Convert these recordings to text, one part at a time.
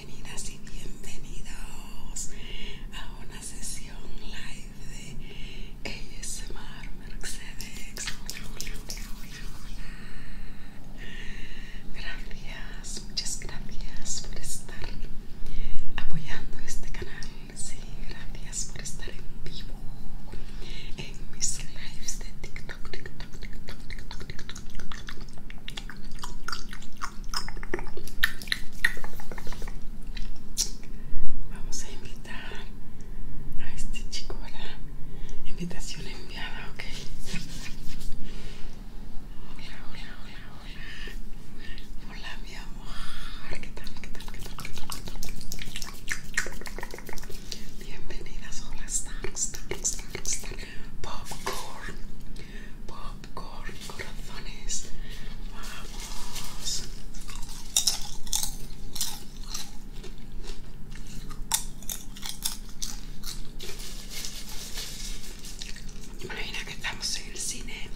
bienvenidas y bienvenidos a una sesión live de ASMR Mercedes. Hola, hola, hola, Gracias, muchas gracias por estar apoyando este canal. Sí, gracias por estar en vivo en mis lives de TikTok, TikTok, TikTok, TikTok, TikTok. Vamos a invitar a este chico a invitación enviada, ok. Hola, hola, hola, hola. Hola, mi amor. ¿Qué tal? ¿Qué tal? ¿Qué tal? ¿Qué tal? Bienvenidas, hola, Popcorn. Popcorn, corazones. Vamos. Imagina que estamos en el cine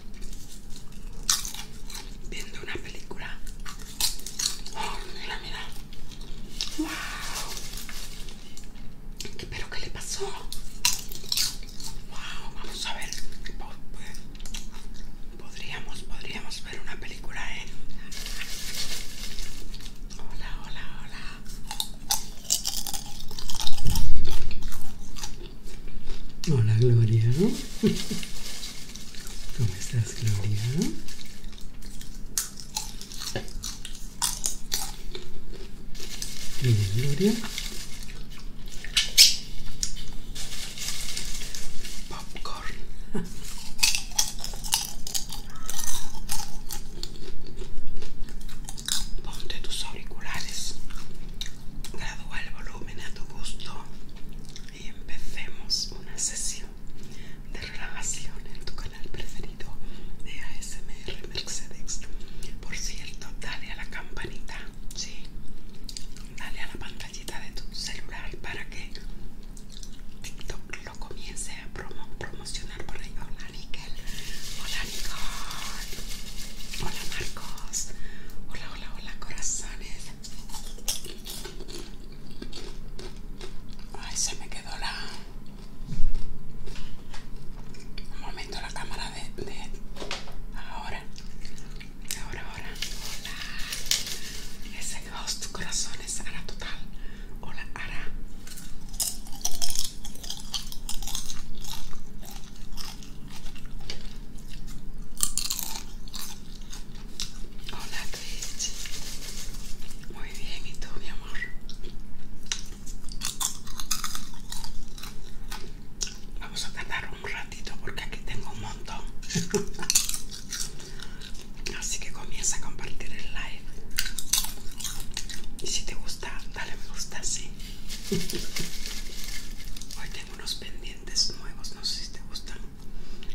viendo una película. Oh, mira, mira. ¡Wow! ¿Pero qué le pasó? Wow, vamos a ver. Podríamos, podríamos ver una película, ¿eh? Hola, hola, hola. Hola, Gloria. ¿Cómo estás, Gloria? Gloria. Popcorn. Ponte tus auriculares. Gradúa el volumen a tu gusto. Y empecemos una sesión de relajación en tu canal preferido de ASMR Mercedes. Por cierto, dale a la campanita ¿sí? Dale a la pantallita de tu celular para que TikTok lo comience a promocionar por ahí. Hola, Nickel. Hola, Nicole. Hola, Marcos. Hola, hola, hola, corazones. Ay, se me quedó la... Un momento la cámara de... Ahora ahora. Ahora, Hola. Ese host corazones Ara total. Hola, Ara Hola, Twitch. Muy bien, ¿y tú, mi amor? Vamos a cantarlo un ratito porque aquí tengo un montón. Así que comienza a compartir el live. Y si te gusta, dale me gusta, sí. Hoy tengo unos pendientes nuevos, no sé si te gustan.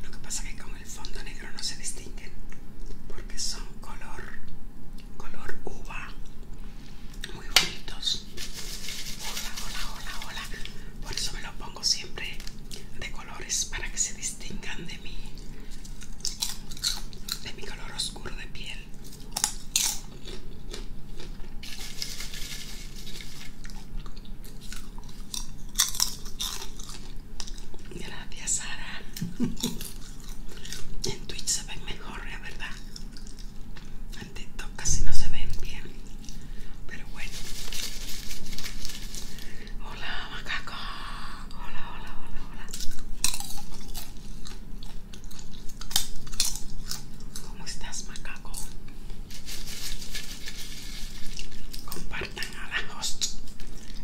Lo que pasa que con el fondo negro no se distinguen porque son color color uva muy bonitos. Hola, hola, hola, hola. Por eso me lo pongo siempre de colores para que se distingan de mi, de mi color oscuro de piel. Gracias, Sara. en Twitch se ven mejor, la ¿verdad? en casi no se ven bien pero bueno hola macaco hola hola hola hola ¿Cómo estás macaco? Compartan a la host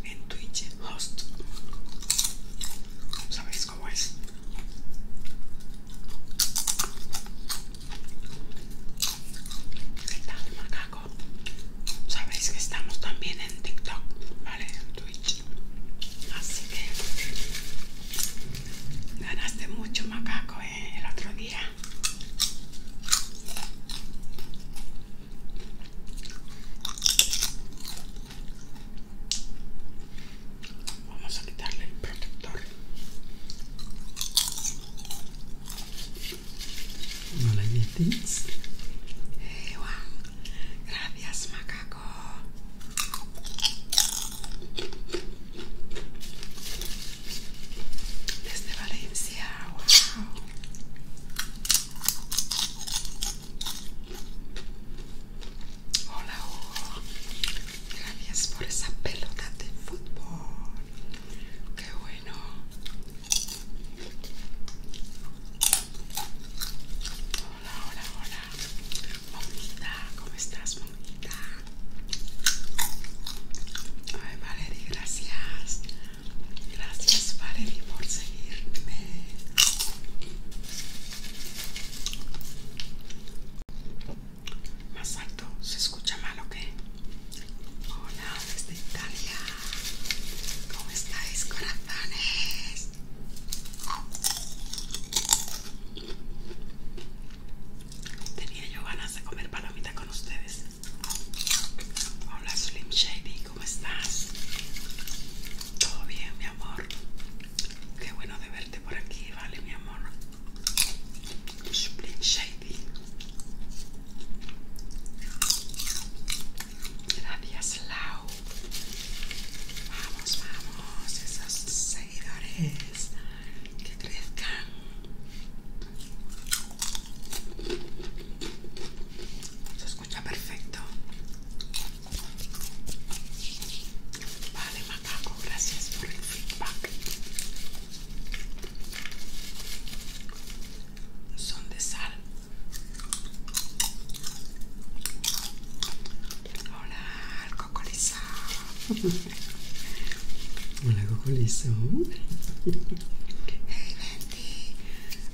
en Twitch host ¿Sabéis cómo es? ¿Qué tal, macaco? Sabéis que estamos también en TikTok, ¿vale? En Twitch. Así que ganaste mucho, macaco, ¿eh? el otro día. Vamos a quitarle el protector. No la Gracias, macaco. Desde Valencia, wow. Hola Gracias por esa pelota de fútbol. Qué bueno. Hola, hola, hola. Momita, ¿cómo estás, momita? Ay, Valery, gracias. Gracias, Valerie, por seguirme. Más alto, se escucha mal, o qué? Hola, desde Italia. ¿Cómo estáis, corazones? Tenía yo ganas de comer palomita con ustedes. Hola, Slim Shady, ¿cómo estás? Todo bien, mi amor. Qué bueno de verte por aquí, vale, mi amor. Supreme Shady. Gracias, Lau. Vamos, vamos, esos seguidores que crezcan. Se escucha perfecto. Vale, macaco, gracias por el feedback. Son de sal. Hola, el Hola, cocolizo. Hey, Venti.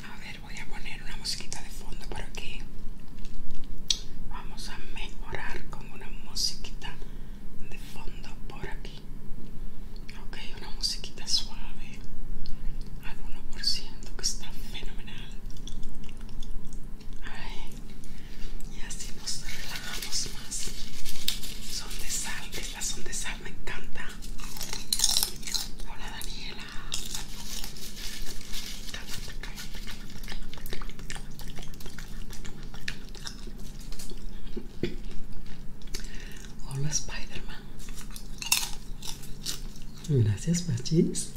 A ver, voy a poner una musiquita de fondo por aquí. Vamos a mejorar con una musiquita de fondo por aquí ok una musiquita suave al 1% que está fenomenal y así nos relajamos más son de sal estas son de sal me encanta hola Daniela Hola Spider-Man. Gracias, Pachis.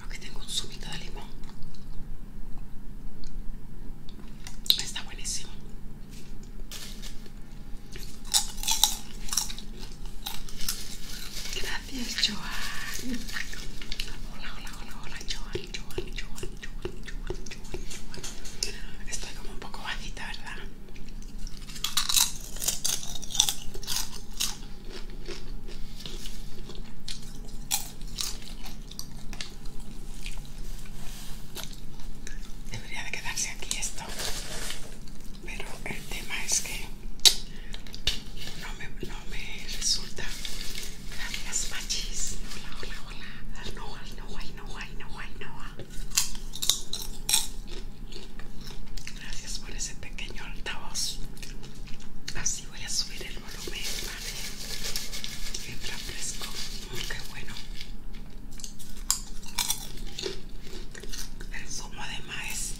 Aquí tengo un zumito de limón. Está buenísimo. Gracias, Joan. Hola, hola, hola, hola, Joan, Joan, Joan, Joan, Joan, Joan, Joan. Estoy como un poco bajita, ¿verdad? Debería de quedarse aquí esto pero el tema es que no me, no me resulta gracias machis hola hola hola ah, no hay no no no gracias por ese pequeño altavoz así voy a subir el volumen vale mientras fresco oh, qué bueno el fumo además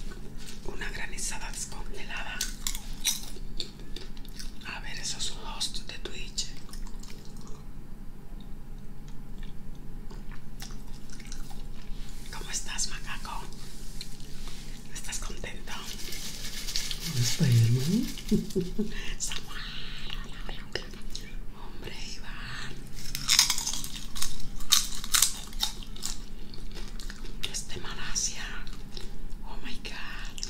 una granizada descongelada. A ver esos host de Twitch. ¿Cómo estás, macaco? ¿Estás contento? está, hermano? Samuel, Hombre, Iván. Este Malasia. Oh my god.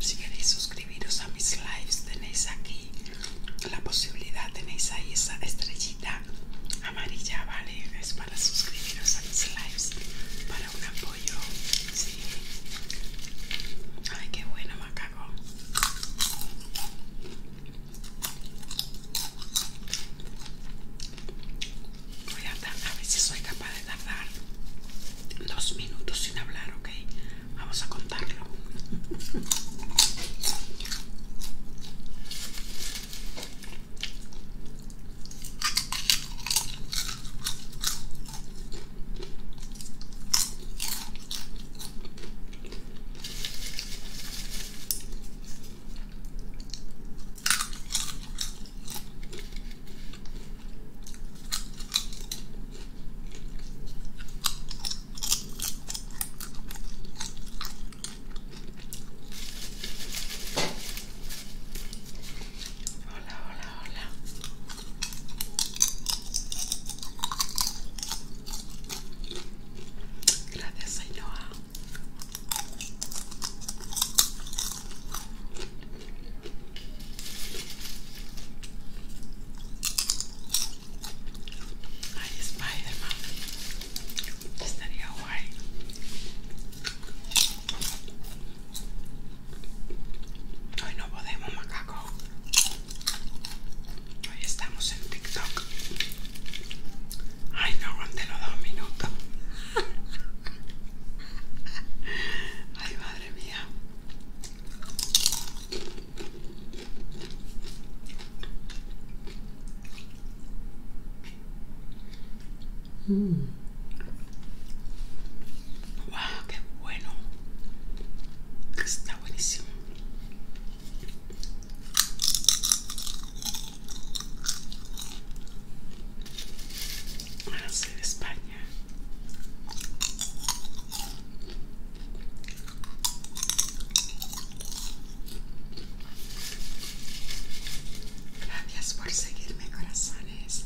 Si queréis suscribiros a mis lives, tenéis aquí la posibilidad, tenéis ahí esa estrellita amarilla, ¿vale? Es para suscribiros a mis lives, para un apoyo, sí. Ay, qué bueno, macaco. Voy a tardar, a ver soy capaz de tardar dos minutos sin hablar, ¿ok? Vamos a contarlo. Hola, hola, hola. Gracias, señora. Ay, Spider-Man. Estaría guay. Hoy no podemos, macaco. Hoy estamos en TikTok. Ay, no aguanté los dos minutos. Ay, madre mía. Wow, mm. qué bueno. Está buenísimo. Ahora de España. Gracias por seguirme, corazones.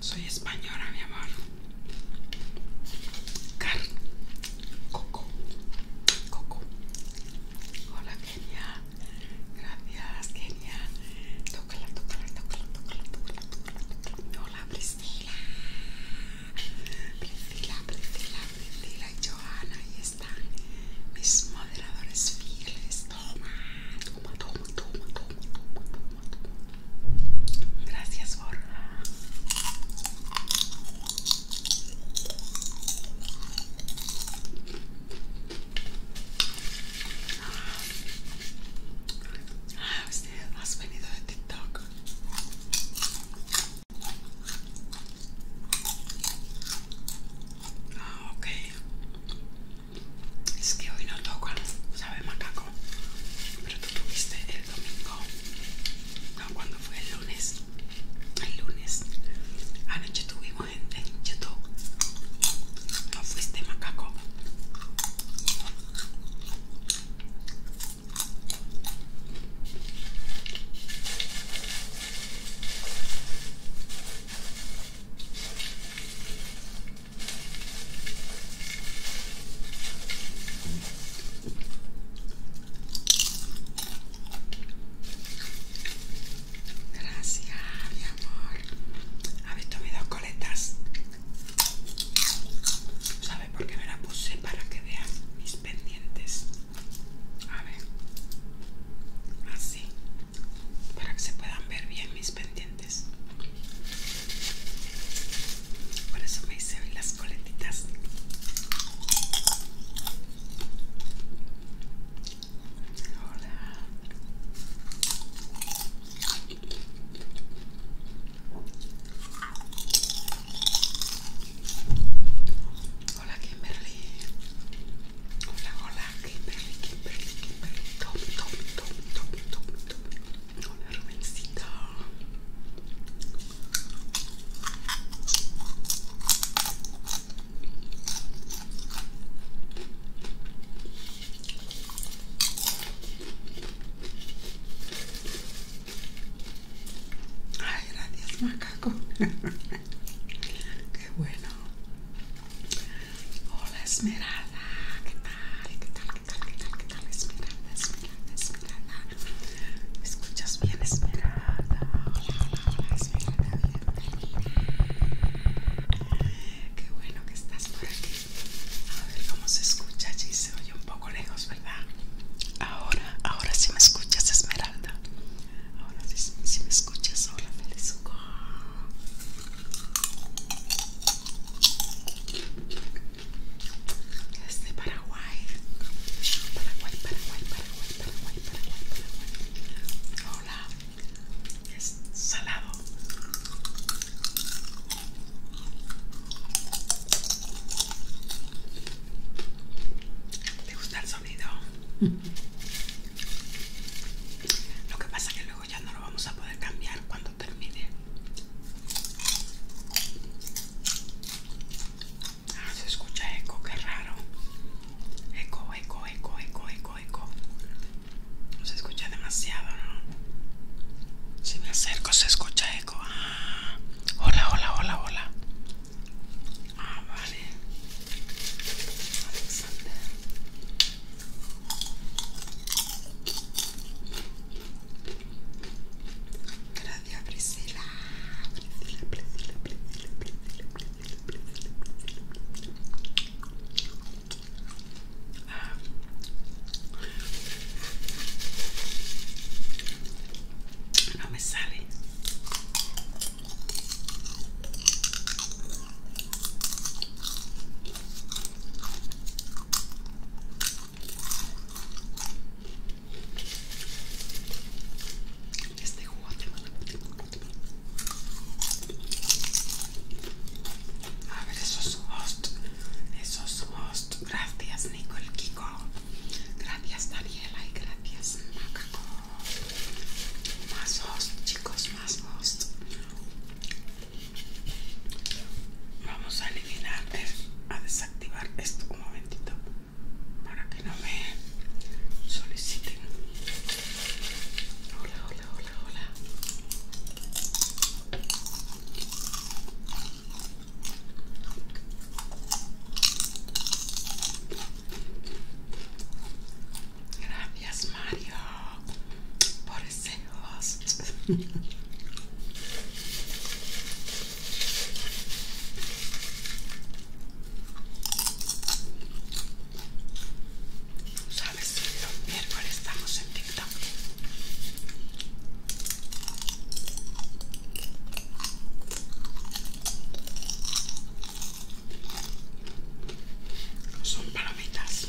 Soy española, mi amor. Car. Coco. Coco. Hola, Kenia. Gracias, Kenia. Tócala, tócala, tócala, tócala, Hola, Priscila. Priscila, Priscila, Priscila y Joana. Ahí están mis moderadores fieles. toma, toma, toma, toma, toma. toma. Gracias, por. Ah, usted has venido de TikTok. Ah, ok. Es que hoy no tocan, sabe macaco. Pero tú tuviste el domingo, no, cuando fue el lunes. El lunes, anoche tuvimos en, en YouTube. No fuiste macaco. Gracias, mi amor. ¿Habéis tomado coletas? ¿Sabes por qué me las puse? Para que vean mis pendientes. A ver. Así. Para que se puedan ver bien mis pendientes. Por eso me hice hoy las coletitas. Hola. Hola Kimberly. Hola, hola Kimberly, Kimberly, Kimberly. top, top, top, top, Hola, Rubencita. Ay, gracias, macaco. Qué bueno. Hola Esmeralda, ¿qué tal? ¿Qué tal? ¿Qué tal? ¿Qué tal? ¿Qué tal? Esmeralda, Esmeralda, Esmeralda. ¿Me escuchas bien, Esmeralda? Hola, hola, hola, Esmeralda, Qué bueno que estás por aquí. A ver cómo se escucha allí, se oye un poco lejos, ¿verdad? Ahora, ahora sí me escuchas, Esmeralda. Ahora sí, me escuchas, hola, feliz. Es de Paraguay. Paraguay, Paraguay, Paraguay, Paraguay, Paraguay, Paraguay. Hola. Es salado. ¿Te gusta el sonido? Lo que pasa es que luego ya no lo vamos a poder cambiar cuando termine Ah, se escucha eco, qué raro. Eco, eco, eco, eco, eco, eco. No se escucha demasiado, ¿no? Si me acerco se escucha eco. Ah. hola, hola, hola, hola. Ah, vale. Alexander. Gracias, Priscila. Priscila, Priscila, Priscila, Priscila, ah. Priscila, Priscila, No me sale. Este jugo te va a... A ver, eso esos host. Esos host. Gracias, Nicole Kiko. Gracias, Daniela. Y gracias, Macaco. Más host, chicos, más host. Vamos a eliminar, a desactivar esto un momentito para que no me soliciten. Hola, hola, hola, hola. Gracias, Mario. Por Pobrecejos. Sabes, los miércoles estamos en TikTok. Son palomitas.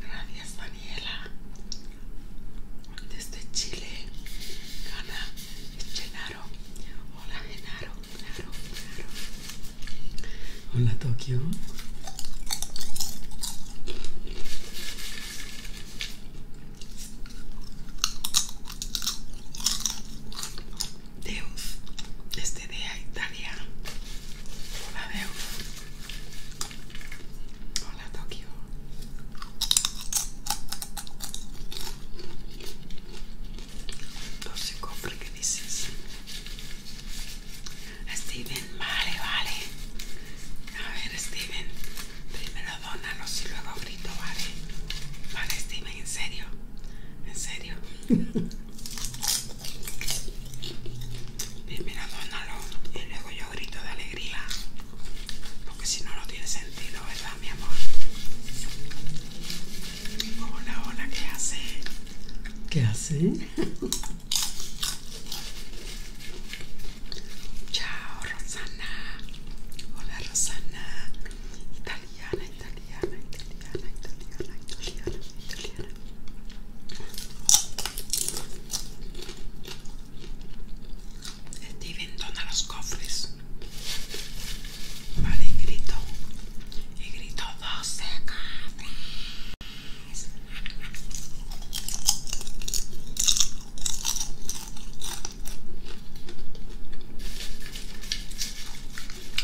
Gracias, Daniela. Desde Chile, Gana, Genaro. Hola, Genaro, Genaro, Genaro. Hola, Tokio. Deus, desde Italia. Hola, Deus. Hola Tokio. ¿cuánto se cofre que dices. Steven, vale, vale. A ver, Steven. Primero dónalos y luego grito, vale. Vale, Steven, en serio. En serio. Primero dónalo y luego yo grito de alegría. Porque si no, no tiene sentido, ¿verdad, mi amor? Hola, hola, ¿qué hace? ¿Qué hace? Chao, Rosana. Hola, Rosana. Italiana, italiana, italiana, italiana, italiana, italiana, Steven dona los cofres. Vale, y grito. Y grito 12 cofres.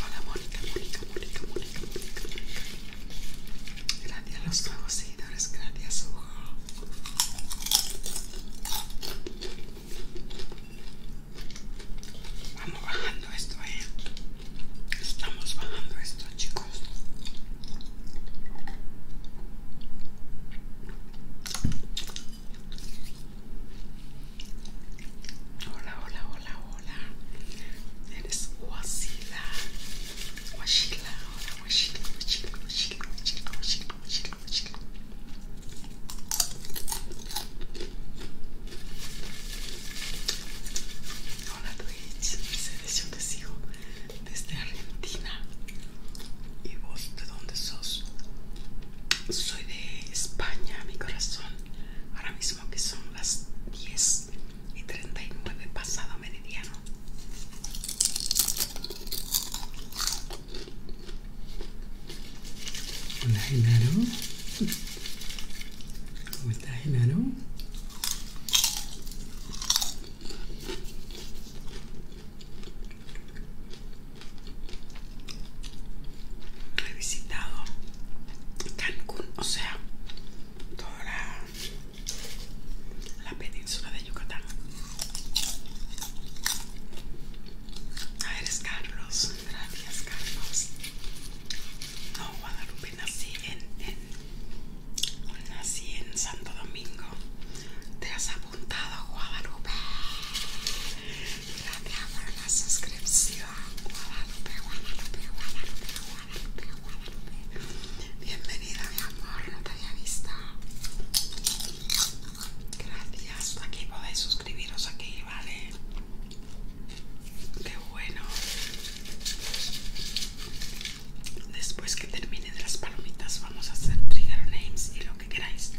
Hola, Mónica, Mónica, Mónica, Mónica, Mónica, Mónica. Gracias a los nuevos seguidores, gracias ojo. Vamos bajando esto, eh. Estamos bajando esto, chicos. Hola, hola, hola, hola. Eres Wasila. Guachila, hola guachila, guachila, guachila, guachila, guachila, guachila, guachila. Hola Twitch, dice yo te sigo desde Argentina. ¿Y vos de dónde sos? Soy de España, mi corazón. Ahora mismo que son las 10 treinta y 39 pasado meridiano. Hola Genaro. ¿Cómo estás Genaro? He visitado Cancún, o sea, toda la la península de Yucatán. A ver, es Carlos. Gracias, Carlos. No, Guadalupe, nací en, en, nací en Santo Domingo. Te has apuntado, Guadalupe. Gracias por la suscripción. Guadalupe, Guadalupe, Guadalupe. Bienvenida, mi amor, no te había visto. Gracias. Aquí podéis suscribiros aquí, ¿vale? Qué bueno. Después que termine de las palomitas vamos a hacer trigger names y lo que queráis.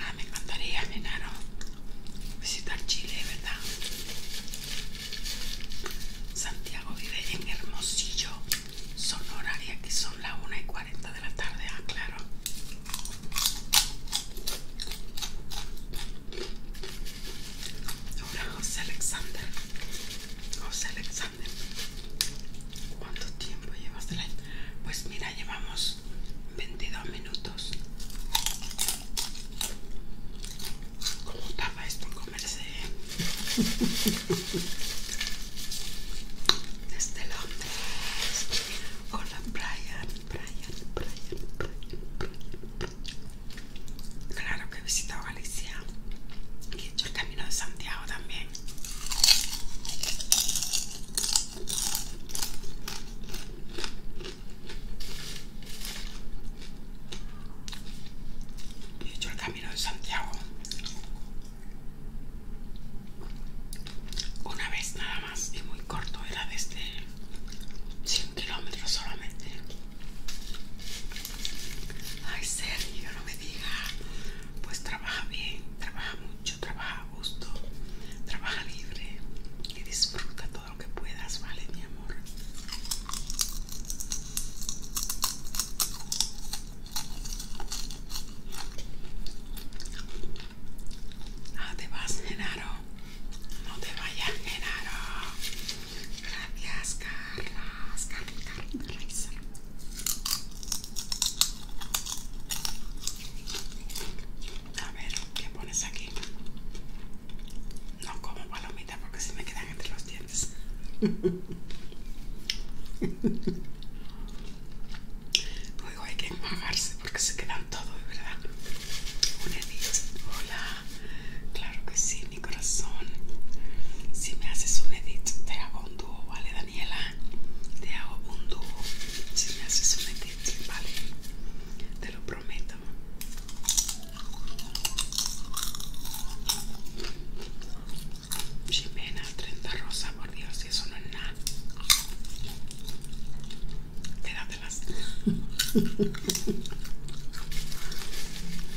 Ah, me encantaría, Nenaro visitar Chile, ¿verdad? Santiago vive en Hermosillo, Sonora, y aquí son las 1 y 40 de la tarde, ah, claro. Hola José Alexander. José Alexander. ¿Cuánto tiempo llevas de la... Pues mira, llevamos 22 minutos. Cómo estaba esto en comerse desde Londres con la Brian, Brian, Brian, Claro que he visitado Galicia y he hecho el camino de Santiago también. He hecho el camino de Santiago una vez nada más y muy corto, era desde 100 este kilómetros solamente. Ay, Sergio, no me diga. Pues trabaja bien, trabaja mucho, trabaja a gusto, trabaja libre y disfruta lo que puedas, ¿vale, mi amor? Ah, te vas, Genaro. No te vayas, Genaro. Gracias, Carla, Carlos, A ver, ¿qué pones aquí? No como palomitas porque se me quedan entre los dientes. Luego hay que enjuagarse porque se quedan todos, ¿verdad? Un edit. Hola. Claro que sí, mi corazón. Si me haces un edit, te hago un dúo, ¿vale, Daniela? Te hago un dúo. Si me haces un edit, ¿vale? Te lo prometo. Jimena, 30 Rosa por Dios, eso no es nada. Quédatelas. Un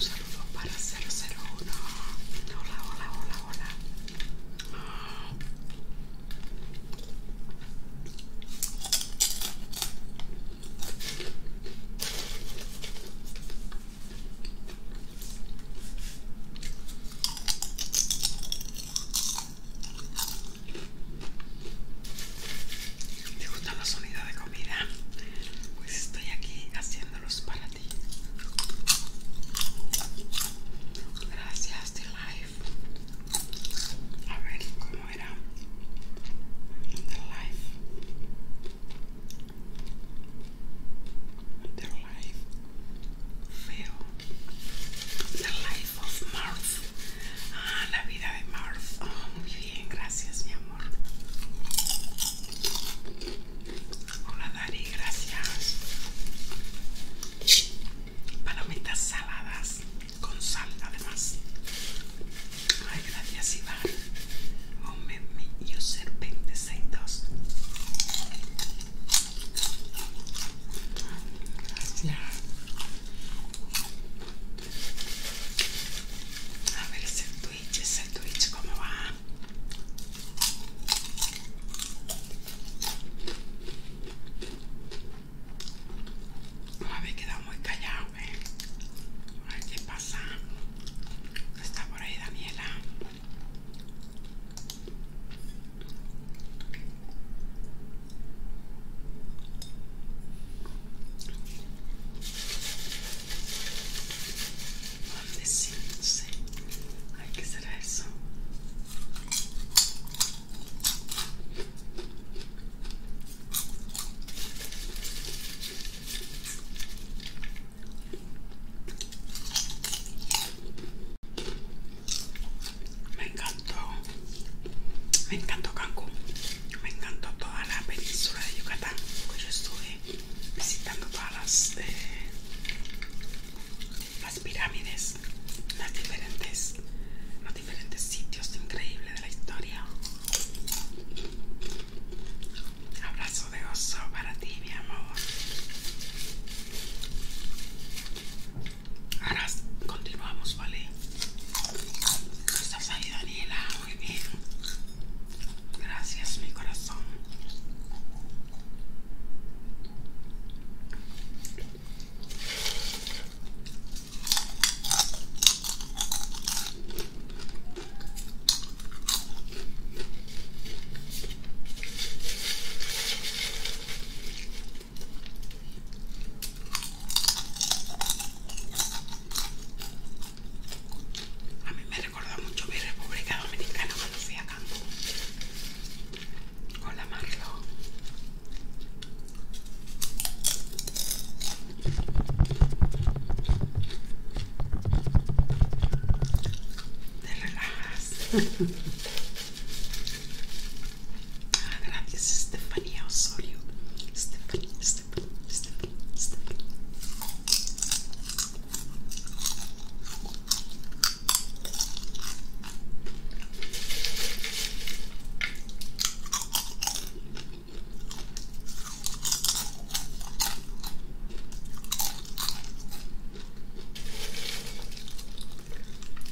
saludo para 001. Hola, hola, hola, hola. ¿Te gustan los sonidos de comida? Pues estoy aquí haciéndolos para ti. Gracias, The Life. A ver cómo era Life. The life feo. The life of Mars. Ah, la vida de Mars. Oh, muy bien, gracias, mi amor. Hola, Dari, gracias. Palomitas saladas con sal, además. Ay, gracias Iván. Moment, y un serpente, 262. Gracias. A ver, es el Twitch, es el Twitch, ¿cómo va? A ver, quedado muy callado. A ver, a ver qué pasa. Está por ahí Daniela. ¿Dónde sí? No sé. Hay que será eso? Me encantó, me encantó Cancún, me encantó toda la península de Yucatán, porque yo estuve visitando todas las, eh, las pirámides, las diferentes, los diferentes sitios increíbles de la historia. Abrazo de oso para ti, mi amor. Ahora continuamos, ¿vale? Estás ahí, Daniela. Muy bien. Gracias, mi corazón. A mí me recordó mucho mi República Dominicana cuando fui a con la Marlo. Te relajas. gracias, Estefanía Osorio. Estefanía, Estefanía, Estefanía, Estefanía.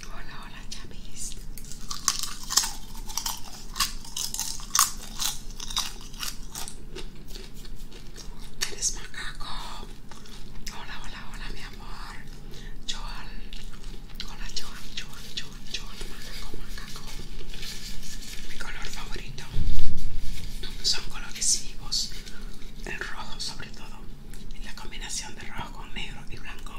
Hola, hola, Chapis. Eres macaco. Hola, hola, hola, mi amor. Joel. Hola, Joel, Joel, Joel, Joel, macaco, macaco mi color favorito son colores vivos el rojo sobre todo la combinación de rojo negro y blanco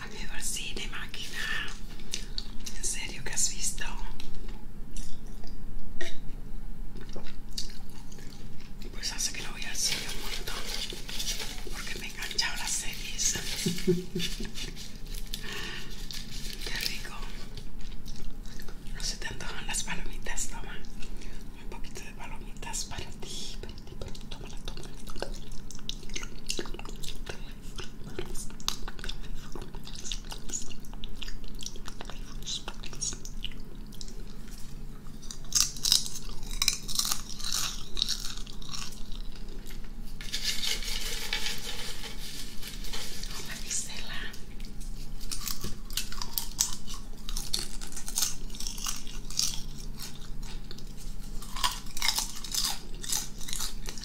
ha quedado cine, máquina? ¿En serio que has visto? Pues hace que lo voy a cine un montón porque me he enganchado las series. Qué rico. No se te antojan las palomitas, toma. Un poquito de palomitas para ti, para ti, para ti. Hola, Gisela.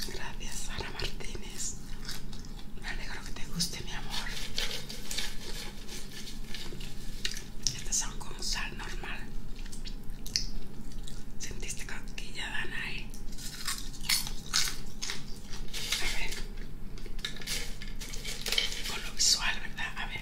Gracias, Sara Martínez. Me alegro que te guste, mi amor. Estas son con sal normal. ¿Sentiste Dana, ahí. A ver. Con lo visual, ¿verdad? A ver.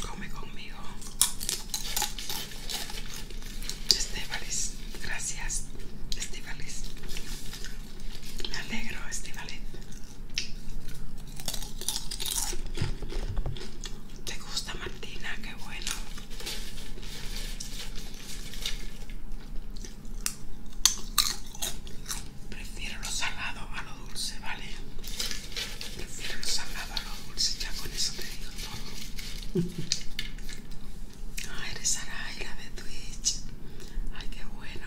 Come conmigo. Estebalis, gracias. Estebalis. Me alegro, Estivalet. ¿Te gusta, Martina? Qué bueno. Prefiero lo salado a lo dulce, ¿vale? Prefiero lo salado a lo dulce, ya con eso te digo todo. Ah, eres la de Twitch. Ay, qué bueno.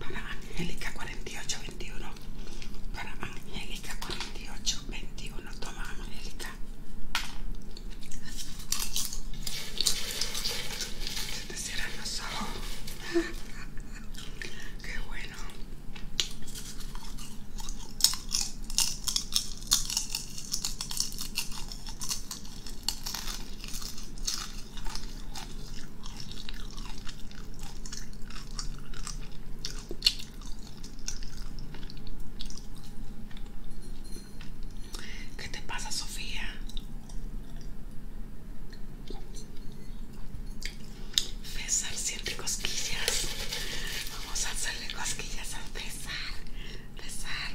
Para Angélica 21 Para Angélica 4821. Toma Angélica. Se te cierran los Qué bueno. ¿Qué te pasa, Sofía? César siempre cosquillas. Vamos a hacerle cosquillas a César empezar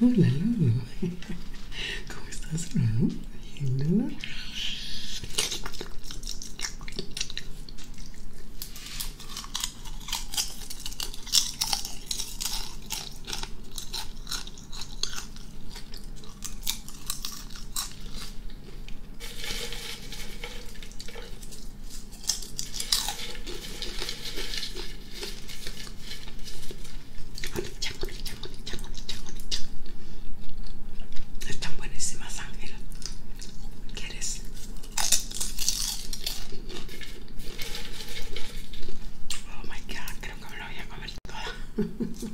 hola Lolo ¿cómo estás Lolo? bien Lolo están buenísimas, Ángela. ¿Quieres? Oh my creo que me lo voy a comer A ver,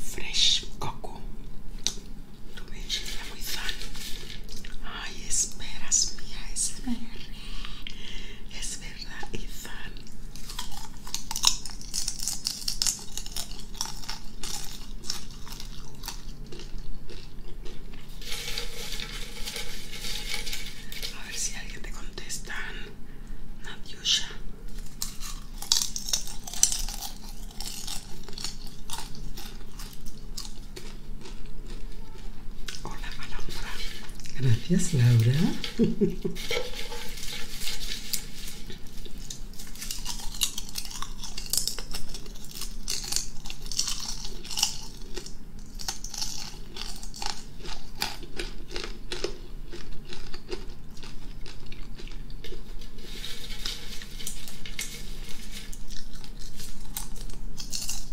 fresh coco. Tu me enxerga muy sano. Ay, esperas, mía, Espera. A ver si alguien te contesta, Natyusha Hola, Laura. Gracias, Laura.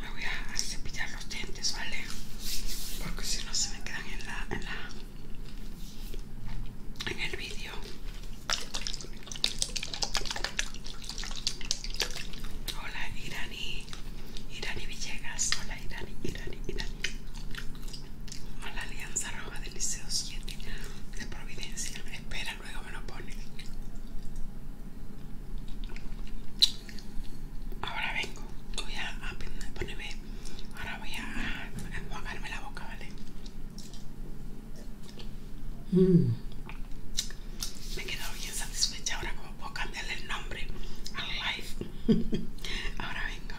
me voy a cepillar los dientes, ¿vale? Porque si no se me quedan en la en, la, en el vídeo. Hola Irani, Irani Villegas, hola Irani, Irani, Irani. Hola Alianza Roja del Liceo 7 de Providencia. Espera, luego me lo ponen. Ahora vengo, voy a ponerme, ahora voy a enjuagarme la boca, ¿vale? Mm. Me quedo bien satisfecha ahora como puedo cambiarle el nombre al live. ahora vengo.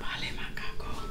Vale, macaco.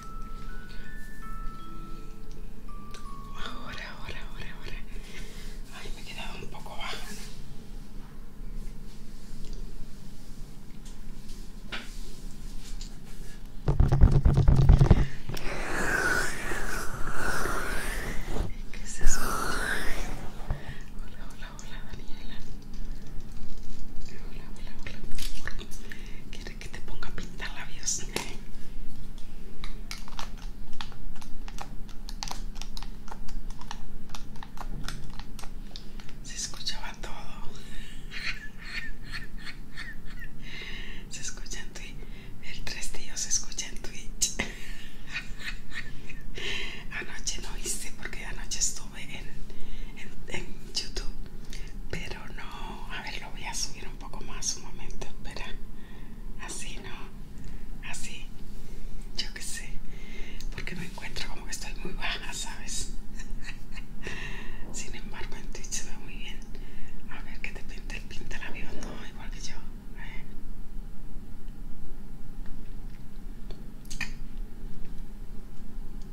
Ahora, ahora, ahora, ahora. Ay, me he quedado un poco baja. ¿Qué Hola, hola, hola, Daniela. Hola, hola, hola que te ponga a pintar labios. Se escuchaba todo. Se escucha en Twitch. El tres tíos se escucha en Twitch. Anoche no hice porque anoche estuve en, en, en YouTube. Pero pero no, a ver, lo voy a subir un poco más, un momento, espera, así no, así, yo qué sé, porque me encuentro como que estoy muy baja, ¿sabes? Sin embargo, en Twitch se ve muy bien. A ver, que te pinta el pinta no, igual que yo. a ver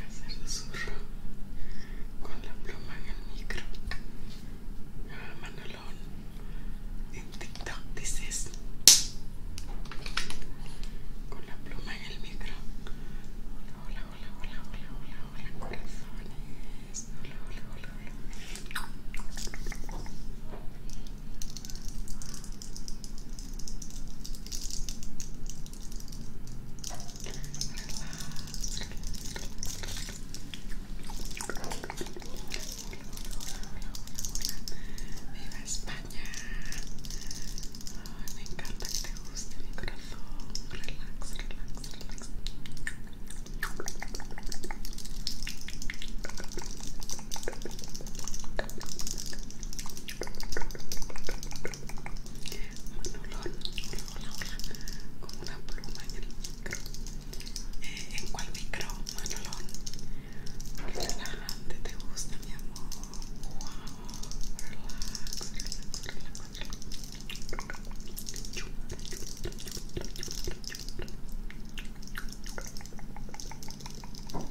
Hacer zurro con la pluma en el micro en TikTok dices con la pluma en el micro. Hola, hola, hola, hola, hola, hola, corazones. Hola, hola, hola, hola hola, hola, Viva España. me encanta que te guste mi corazón. Relax, relax, relax. Manolón hola, una pluma en el micro. ¿En cuál micro? relajante te gusta, mi amor. Wow,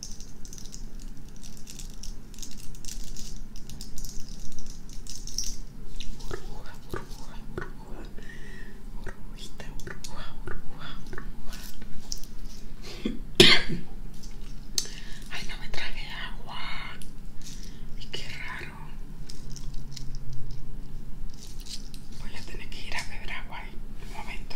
burbuja, burbuja, burbuja, burbujita, burbuja, burbuja, burbuja. Ay, no me traje agua. Y qué raro. Voy a tener que ir a beber agua ahí, un momento.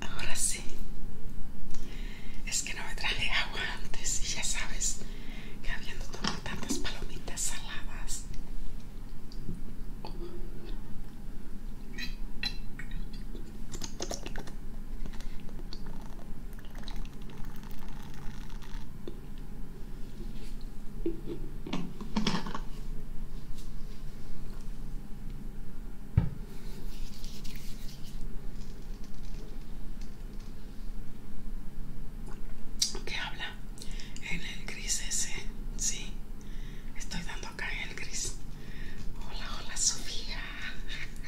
Ahora sí. Es que no me traje agua antes y ya sabes que habiendo tomado tantas palomitas saladas. ¿Qué habla en el gris ese sí estoy dando acá en el gris hola hola Sofía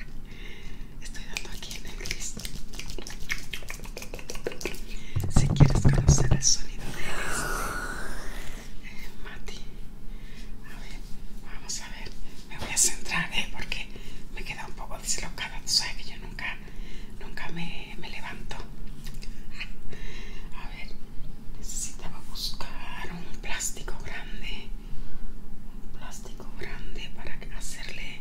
estoy dando aquí en el gris si quieres conocer el sonido de este, eh, Mati, a ver, vamos a ver, me voy a centrar, ¿eh? Porque me queda un poco dislocada, tú sabes que yo nunca, nunca me, me levanto. A ver, necesitaba buscar un plástico grande, un plástico grande para hacerle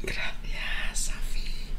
Gracias, Safi.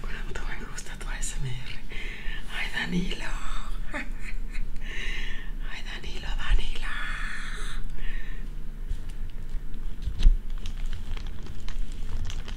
Kuinka muuten me gusta tu ASMR? Ay Danilo. Ay Danilo, Danilo.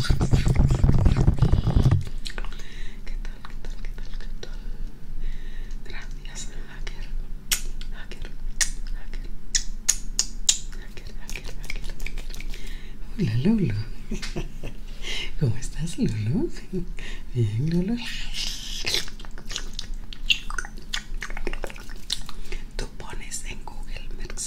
¿Qué tal? ¿Qué tal? ¿Qué tal? ¿Qué tal? Gracias, hacker. Hacker. Hacker. Hacker, hacker, hacker, hacker. Hola, Lolo. ¿Cómo estás, Lolo? Bien, Lolo. Tú pones en Google Maps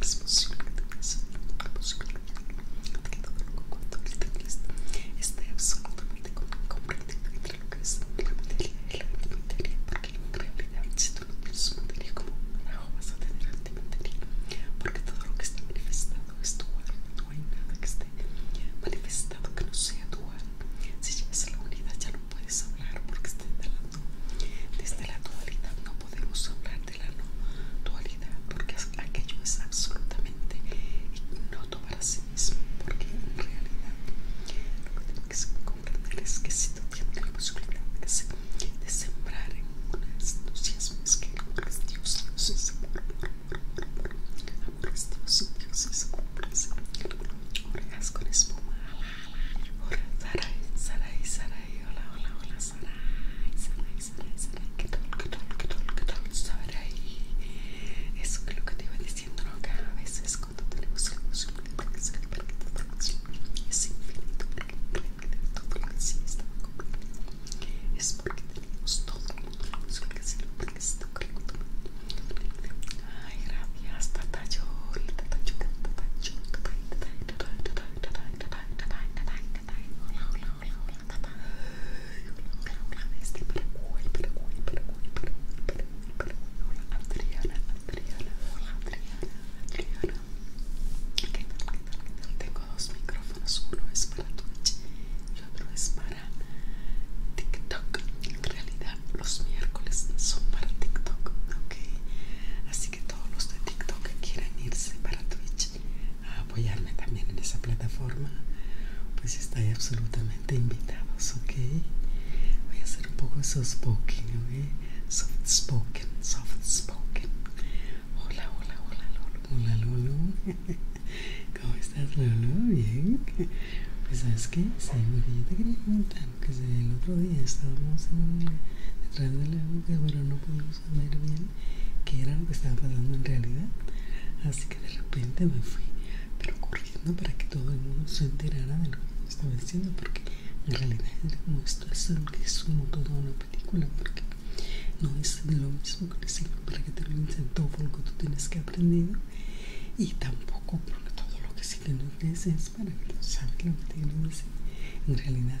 es posible que te pase, es posible que todo lo que está esté absolutamente comprendido entre lo que es la materia y la antimateria, porque en realidad si tú no tienes materia como no vas a tener antimateria, porque todo lo que está manifestado es dual, no hay nada que esté manifestado que no sea dual. Si llevas la unidad ya no puedes hablar porque está desde la dualidad no podemos hablar la no dualidad, porque aquello es absolutamente tomar para sí mismo, porque en realidad lo que tenemos que comprender es que si tú tienes la posibilidad sembrar en entusiasmo que el amor es Dios, Dios es amor, amor es Dios, Dios es con espuma, hola, hola, hola, ¿qué qué qué qué Eso que te iba diciendo, cuando es todo que sí es porque todo que lo que Ay, gracias, que Hola, hola, hola, hola, hola, hola, hola, hola, hola, hola, hola, hola, Adriana, Adriana, hola, Adriana, Adriana, ¿qué tal? Tengo dos micrófonos, uno es para Twitch y otro es para TikTok. En realidad, los miércoles son para TikTok, ¿ok? Así que todos los de TikTok quieren irse a Twitch a apoyarme también en esa plataforma, pues estáis absolutamente invitados, ¿ok? Voy a hacer un poco de soft spoken, ¿ok? Soft spoken, soft spoken. Hola, hola, hola, Lolo. Hola, Lolo. ¿Cómo estás, Lolo? Bien. Pues sabes qué, seguro que yo te quería preguntar que el otro día estábamos detrás de la boca, pero no pudimos ver bien qué era lo que estaba pasando en realidad. Así que de repente me fui, pero corriendo para que todo el mundo se enterara de lo que estaba diciendo, porque en realidad no estoy seguro que sumo toda una película, porque no es lo mismo que decirlo para que te lo todo lo que tú tienes que aprender y tampoco porque todo lo que sí tienes es para que lo sabes lo que te que decir. En realidad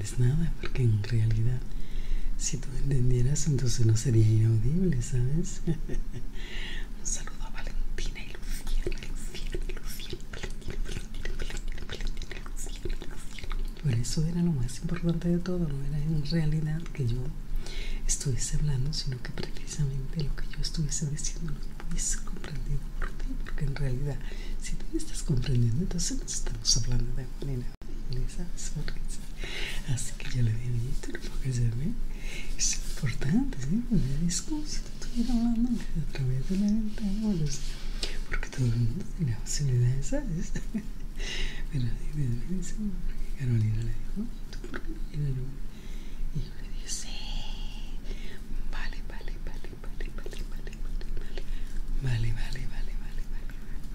nada, porque en realidad si tú entendieras entonces no sería inaudible, ¿sabes? Un saludo a Valentina y Luciana, Luciana, Luciana, Valentina, Valentina, Valentina, Valentina, Luciana, Luciana. Bueno, eso era lo más importante de todo, no era en realidad que yo estuviese hablando, sino que precisamente lo que yo estuviese diciendo no hubiese comprendido por ti, porque en realidad si tú me estás comprendiendo, entonces no estamos hablando de manera esa Así que yo le di porque se ve. Es importante, ¿sí? Porque es si estuviera hablando a través de la ventana Porque todo el mundo tiene Pero Carolina le dijo, por Y yo le dije, sí. vale, vale, vale, vale, vale, vale, vale, vale, vale, vale, vale, vale, vale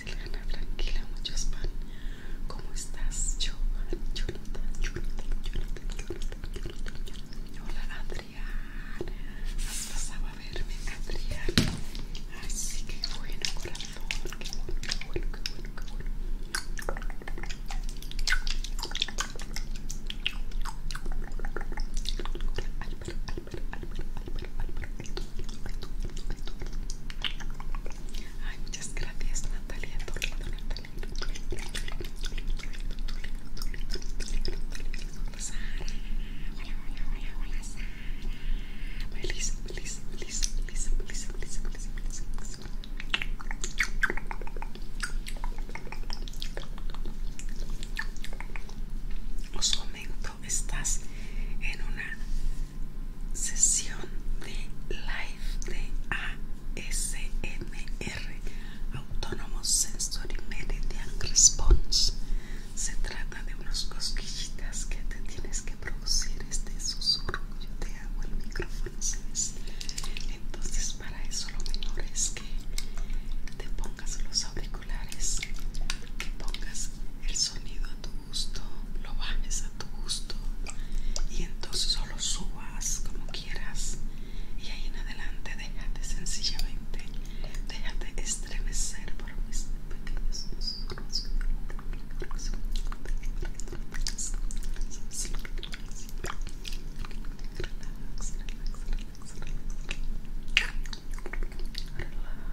tranquila, mucho ¿Cómo estás? Yo, yo, Hola, Has pasado a verme, Adrián. Así que bueno, corazón. Ay, muchas gracias, Natalia. Hola, hola, hola, hola, Os comento, estás en una sesión de live de ASMR Autonomous Sensory Meridian Response. Se trata de unos cosquillitas que te tienes que producir este susurro. Yo te hago el micrófono, Entonces, para eso lo mejor es que te pongas los auriculares, que pongas el sonido a tu gusto, lo bajes a tu gusto y entonces solo subas como quieras y ahí en adelante déjate sencillamente, déjate estremecer por mis pequeños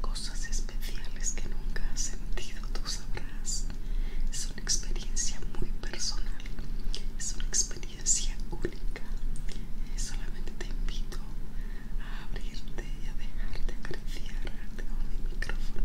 cosas especiales que nunca has sentido, tú sabrás. Es una experiencia muy personal, es una experiencia única. Eh, solamente te invito a abrirte y a dejarte crecer, Tengo mi micrófono.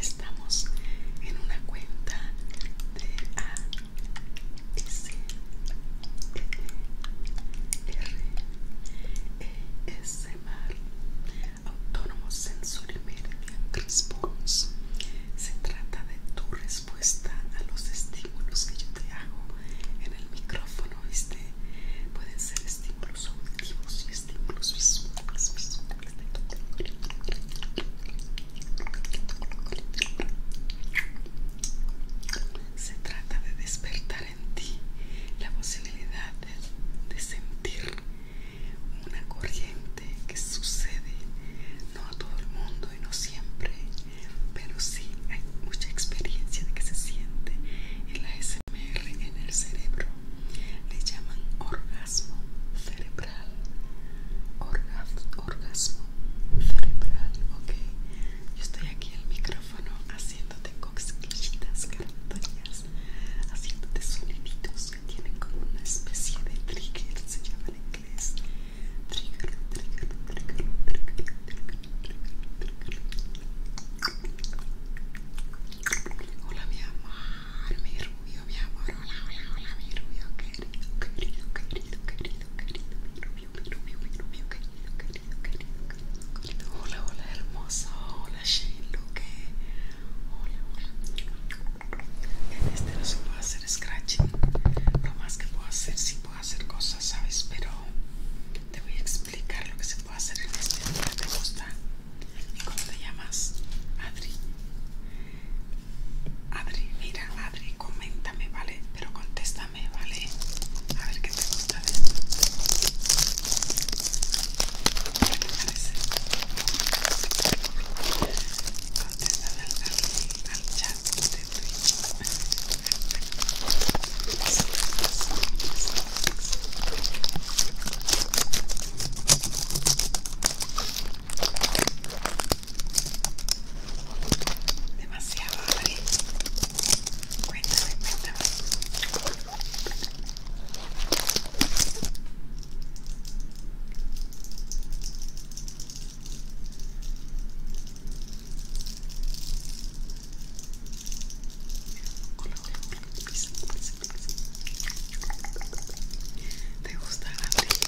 estamos en una cuenta de A S R E S Autónomo Sensory Meridian Response. Se trata de tu respuesta a los estímulos que yo te hago en el micrófono, Pueden ser estímulos auditivos y estímulos visuales, visuales. Se trata de despertar en ti la posibilidad de, sentir una corriente que sucede, no a todo el mundo y no siempre, pero sí hay mucha experiencia de que se siente en la SMR en el cerebro. Le llaman órgano orgasmo cerebral orgasmo cerebral okay. yo estoy aquí en el micrófono haciéndote cosquillitas grandoñas haciéndote soniditos que tienen como una especie de trigger se llama en inglés trigger trigger trigger trigger trigger trigger Hola mi amor, mi rubio, mi amor. Hola, hola, hola, mi rubio, querido, querido, querido, querido, querido, mi rubio, mi rubio, mi rubio, querido, querido, querido, querido, querido. Hola, hola, hermoso. Hola, Shane Luque. Hola, hola. En este no se puede hacer scratching. Lo más que puedo hacer, sí puedo hacer cosas, ¿sabes? Pero te voy a explicar lo que se puede hacer en este día. ¿Te gusta? ¿Y cómo te llamas? Adri. Abre, mira, abre, coméntame, ¿vale? Pero contéstame, ¿vale? A ver qué te gusta de esto. ¿Qué te parece? Contéstame al, al chat de Twitch. Demasiado hambre. Cuéntame, cuéntame. Pues, pues, pues. ¿Te gusta grande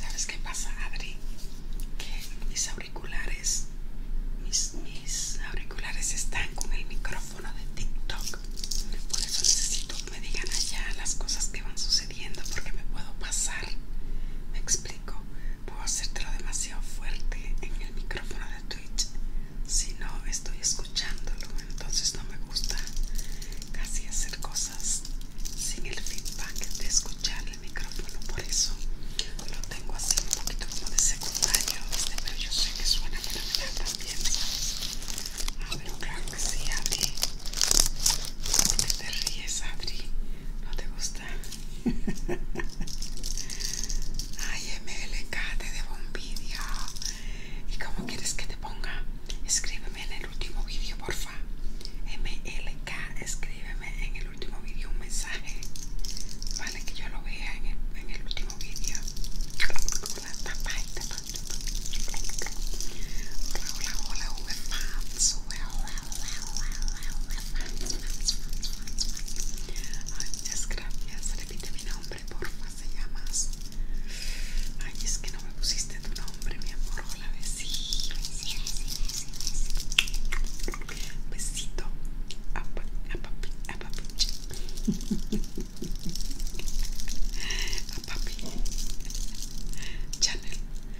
¿Sabes qué pasa, Adri? Que mis auriculares, mis auriculares están con el micrófono de TikTok. Por eso necesito que me digan allá las cosas que van sucediendo porque me puedo pasar. Me explico puedo hacértelo demasiado fuerte en el micrófono de Twitch si no estoy escuchándolo entonces no me gusta casi hacer cosas sin el feedback de escuchar el micrófono por eso lo tengo así un poquito como de secundario este, pero yo sé que suena fenomenal también ¿sabes? Ah, pero claro que sí Adri ¿Por qué te ríes Adri? ¿No te gusta? Ay, MLK te debo un vídeo ¿Y cómo quieres que te ponga? Escríbeme en el último vídeo, porfa. MLK, escríbeme en el último vídeo un mensaje. Vale, que yo lo vea en el, último vídeo. Hola, Hola, hola, hola, Ay, muchas gracias. Repite mi nombre, porfa. Se llamas. Ay, es que no me pusiste tu nombre, mi amor. Hola, besito. Besito. A, a papi, a papi. A papi. Chanel.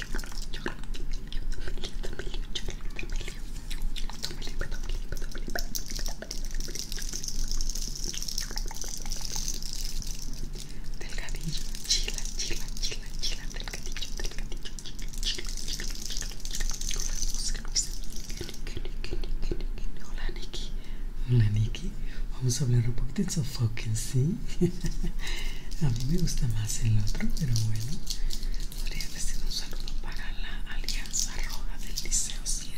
Delgadillo, chila, chila, chila, chila, delgadillo, delgadillo, chila, chila, chila, chila, chila. Hola, Oscar Luis. Hola, Nikki. Hola, Nikki. Vamos a hablar un poquito de sofoque, ¿sí? a mí me gusta más el otro, pero bueno, podría decir un saludo para la Alianza Roja del Liceo 7.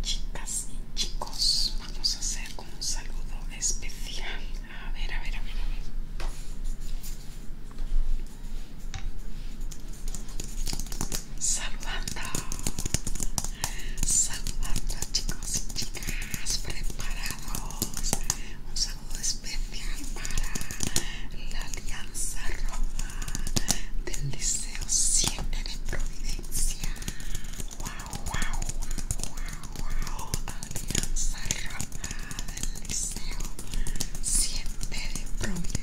Chicas y chicos, vamos a hacer un saludo especial. A ver, a ver, a ver, a ver. Saludando, saludando chicos y chicas preparados especial para la Alianza Roma del Liceo siempre de Providencia. ¡Wow, wow, Alianza Roma del Liceo siempre de Providencia.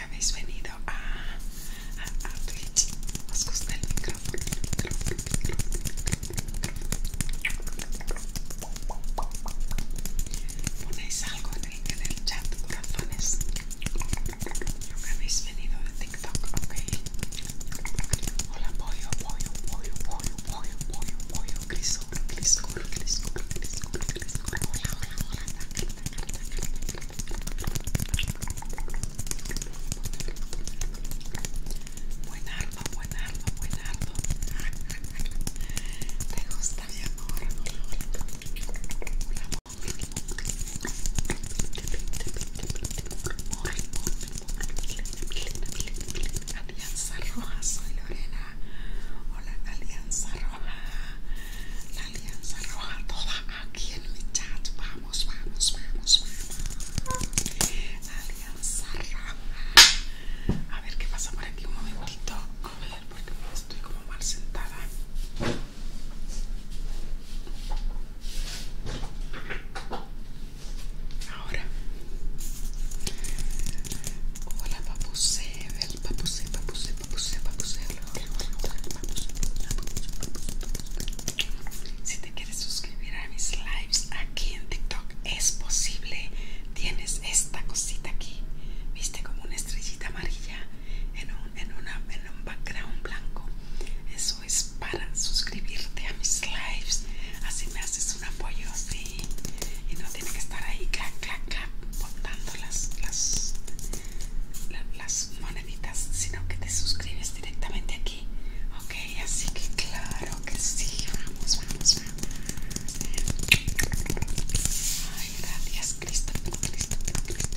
habéis venido a, Twitch. ¿Os el micrófono? algo en el, chat, corazones. habéis venido de TikTok, ok. Hola, pollo, pollo, Buen ardo, buen buen ¿Te gusta mi Hola, Alianza Roja, soy Lorena. Hola, Alianza Roja alianza roja toda aquí en mi chat. Vamos, vamos, vamos, vamos. alianza roja. A ver qué pasa por aquí un momentito. A ver, porque estoy como mal sentada. Ahora. Hola, papu ¿verdad? Si te quieres suscribir a mis lives aquí en TikTok, es posible. Tienes esta cosita aquí, viste como una estrellita amarilla en un, en un background blanco. Eso es para suscribirte a mis lives. Así me haces un apoyo así. Y no tiene que estar ahí, clac, clac, clac, botando las las moneditas, sino que te suscribes directamente aquí. Ok, así que claro que sí. Vamos, vamos, Ay, gracias, Cristo, Cristo, Cristo,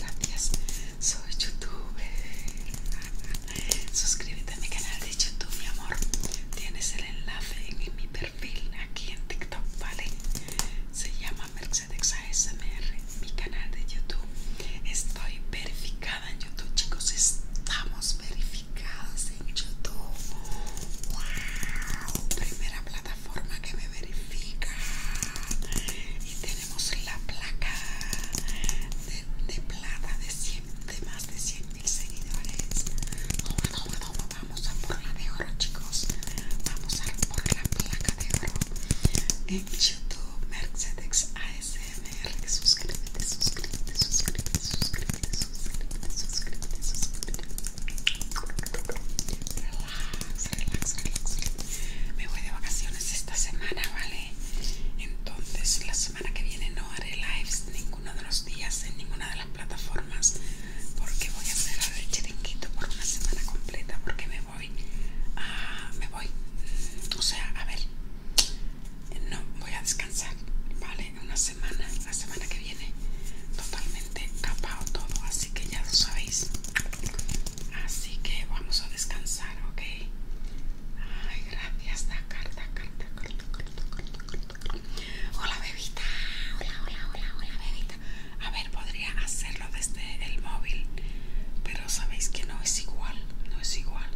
Gracias. Soy youtuber. Suscríbete a mi canal de YouTube, mi amor. Tienes el enlace en mi perfil aquí en TikTok, ¿vale? Se llama Mercedes ASMR, mi canal de YouTube. Estoy verificada en YouTube, chicos. Estamos verificados en YouTube. ¡Wow! Primera plataforma que me verifica. Y tenemos la placa de, plata de, más de 100 mil seguidores vamos a por la de oro chicos vamos a por la placa de oro en youtube mercedes asmr suscríbete suscríbete suscríbete suscríbete suscríbete suscríbete suscríbete relax relax relax me voy de vacaciones esta semana vale entonces la semana que viene no haré lives ninguno de los días en ninguna de las plataformas porque voy a hacer el chiringuito por una semana completa porque me voy a, me voy o sea a ver no voy a descansar vale una semana la semana que viene totalmente tapado todo así que ya lo sabéis así que vamos a descansar ok ay gracias carta carta hola bebita hola hola hola hola bebita a ver, podría hacerlo desde el móvil, pero sabéis que no es igual, no es igual.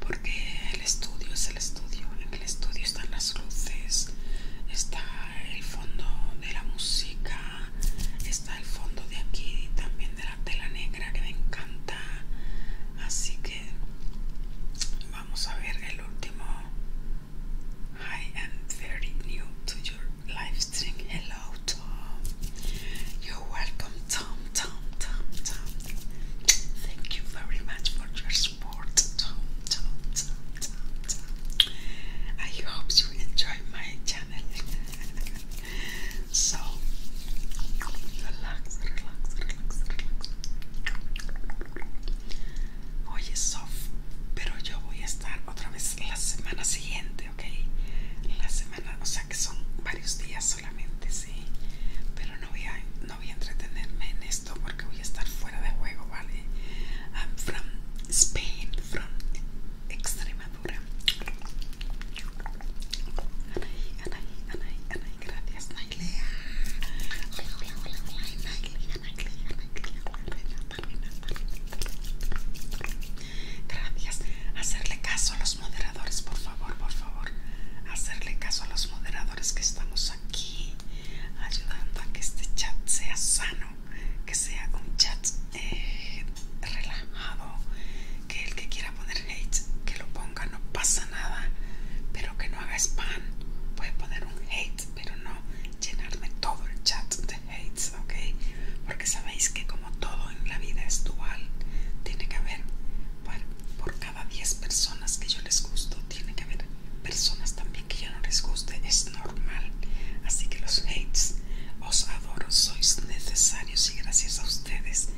Porque el estudio es el estudio. En el estudio están las luces, está el fondo de la música, está el fondo de aquí y también de la tela negra que me encanta. Así que vamos a ver el último. I am very new to your live stream. Hello, Tom. You're welcome, Tom, Tom, Tom, Tom. Thank you very much for your support, Tom, Tom, Tom, Tom, I hope you enjoy my channel. so, relax, relax, relax, relax. Hoy es pero yo voy a estar otra vez la semana siguiente, ok. La semana, o sea que son varios días solamente, sí. Pero no voy a, no voy a entretenerme en esto porque voy a estar fuera de juego, ¿vale? I'm from Spain, from Extremadura. Anaí, Anaí, Anaí, Anaí, gracias, Nailea. Hola, hola, hola, Ana. Nailea, Nailea, Nailea, Gracias. Hacerle caso a los moderadores, por favor, por favor. Hacerle caso a los moderadores que estamos aquí ayudando a que este chat sea sano, que sea un chat eh, relajado, que el que quiera poner hate, que lo ponga, no pasa nada, pero que no haga spam. Puede poner un hate, pero no llenarme todo el chat hates, ¿ok? Porque sabéis que como todo en la vida es dual, tiene que haber, por cada 10 personas que yo les gusto, tiene que haber personas también que yo no les guste, es normal. Así que los hates, os adoro, sois necesarios y gracias a ustedes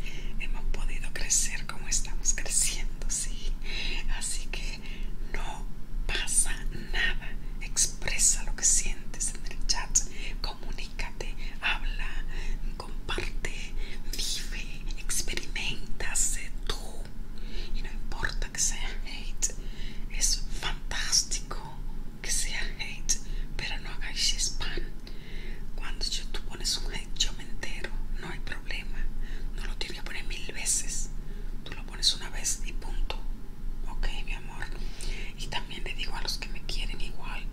hemos podido crecer como estamos creciendo, ¿sí? Así que no pasa nada expresa lo que sientes en el chat, comunícate, habla, comparte, vive, experimenta, tú. Y no importa que sea hate, es fantástico que sea hate, pero no hagáis spam. Cuando yo, tú pones un hate, yo me entero, no hay problema. No lo tienes que poner mil veces. Tú pones una vez y punto. Ok, mi amor. Y también le digo a los que me quieren igual.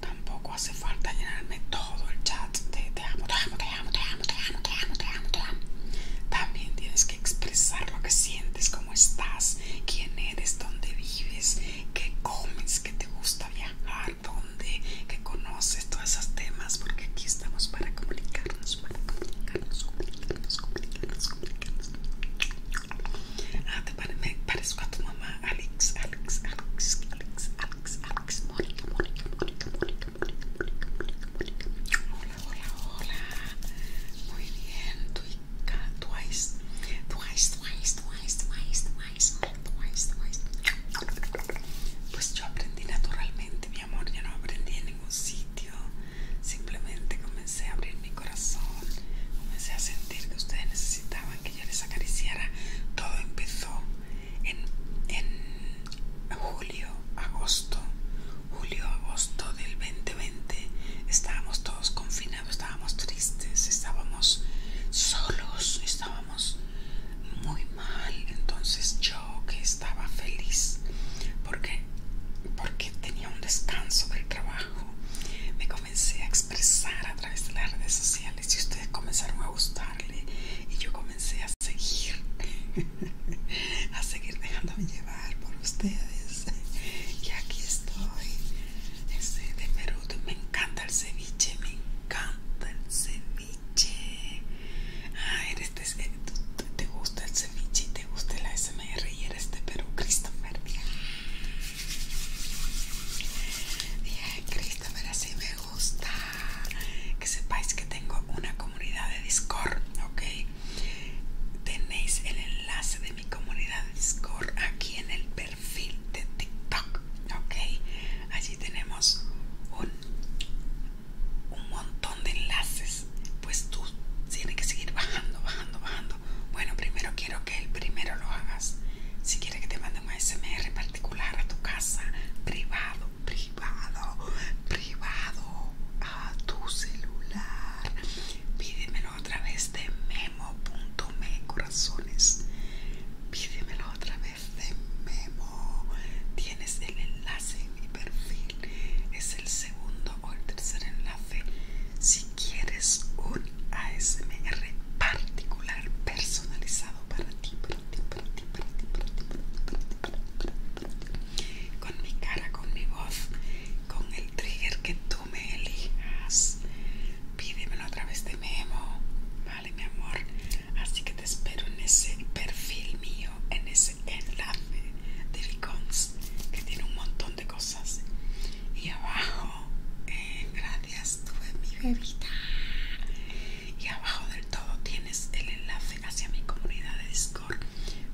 Tampoco hace falta llenarme todo el chat de te amo, te amo, te amo, te amo, te amo, te amo, te amo, También tienes que expresar lo que sientes, cómo estás, quién eres, dónde vives, qué comes, qué te gusta viajar, dónde, qué conoces, todos esos temas, porque aquí estamos para comunicarnos, para comunicarnos, comunicarnos. Ah, te parezco a tu mamá, Alex, Alex, Alex, Alex, Alex, Alex, Mónica, Mónica, Mónica, Mónica, Mónica, Mónica, Mónica, Mónica. Hola, hola, hola. Muy bien, Twika, Twice, Twice, Twice, Twice, Twice, Twice, Twice, Pues yo aprendí naturalmente, mi amor, ya no aprendí en ningún sitio. Simplemente comencé a abrir mi corazón, comencé a sentir que ustedes necesitaban que yo les acariciara. Todo empezó en, en julio, agosto, julio, agosto del 2020. Estábamos todos confinados, estábamos tristes, estábamos solos, estábamos muy mal. Entonces yo que estaba feliz porque, porque tenía un descanso del trabajo me comencé a expresar a través de las redes sociales y ustedes comenzaron a gustarle y yo comencé a seguir, a seguir dejándome llevar por ustedes. Y aquí estoy, este, de Perú, me encanta el ceviche, me encanta el ceviche. Ah, te gusta el ceviche y te gusta la SMR y eres de Perú, Christopher. Bien, ver si me gusta. Que sepáis que tengo una comunidad de Discord, ¿ok? Tenéis el enlace de mi comunidad de Discord aquí en el perfil de TikTok, ¿ok? Allí tenemos un, un montón de enlaces. Pues tú tienes que seguir bajando, bajando, bajando bueno, primero quiero que el primero lo hagas. Si quieres que te mande un ASMR particular a tu casa, privado, privado, privado, a tu celular, pídemelo otra vez de memo.me corazones. Pídemelo otra vez de memo. Tienes el enlace en mi perfil. Es el segundo o el tercer enlace. Si quieres un ASMR particular, personalizado para ti, con mi cara, con mi voz, con el trigger que tú me elijas, pídemelo a través de Memo, vale mi amor. Así que te espero en ese perfil mío, en ese enlace de Vicons que tiene un montón de cosas y abajo eh, gracias tuve mi bebita y abajo del todo tienes el enlace hacia mi comunidad de Discord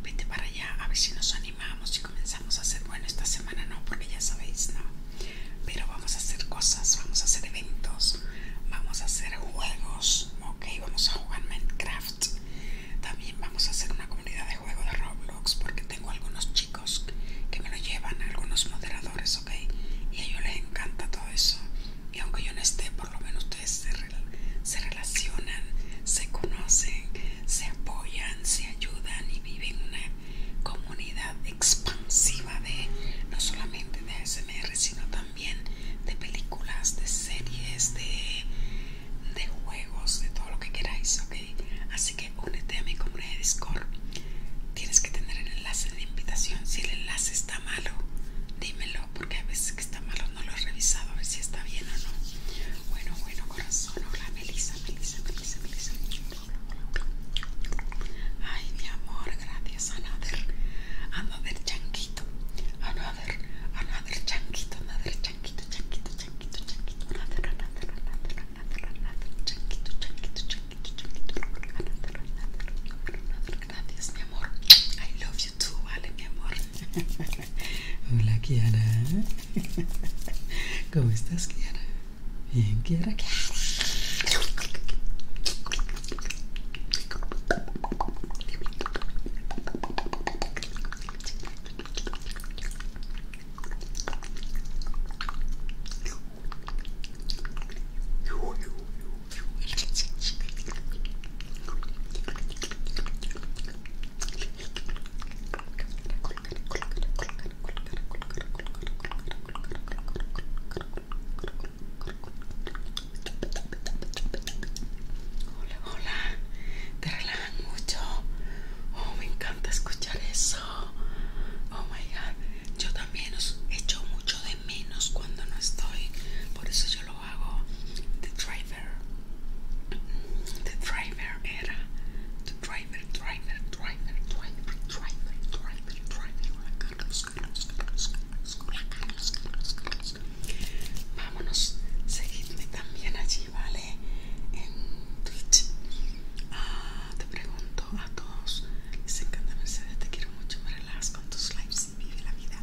vete para allá a ver si nos animamos y comenzamos a hacer bueno esta semana no porque ya sabéis no pero vamos a hacer cosas vamos a hacer eventos vamos a hacer juegos ok vamos a jugar Minecraft también vamos a hacer una comunidad de juego de Roblox porque tengo algunos chicos que me lo llevan, algunos moderadores, ¿ok? Y a ellos les encanta todo eso. Y aunque yo no esté, por lo menos ustedes se, se relacionan, se conocen, se apoyan, se ayudan y viven una comunidad expansiva de no solamente de ASMR, sino también de películas, de series, de de juegos, de todo lo que queráis, ¿ok? Así que únete a mi comunidad de Discord. Tienes que tener el enlace de invitación. Si el enlace está malo, dímelo, porque a veces que está malo no lo he revisado, a ver si está bien o no. Bueno, bueno, corazón. Hola, Melissa, Melissa, Melissa, Melissa. Ay, mi amor, gracias. Another, another chanquito. Another, another chanquito, another chanquito, chanquito, chanquito, chanquito. Another, another, another. Gracias, mi amor. I love you too, vale, mi amor. Hola, Kiara. ¿Cómo estás, Kiara? Bien, Kiara. Hola, hola, te relajan mucho. Oh, me encanta escuchar eso. Oh my god. Yo también os echo mucho de menos cuando no estoy. Por eso yo lo hago. The driver. The driver era. The driver, driver, driver, driver, driver, driver, driver. Vámonos. Seguidme también allí ¿vale? En Twitch. te pregunto a todos. Mercedes, te quiero mucho. Me con tus lives vive la vida.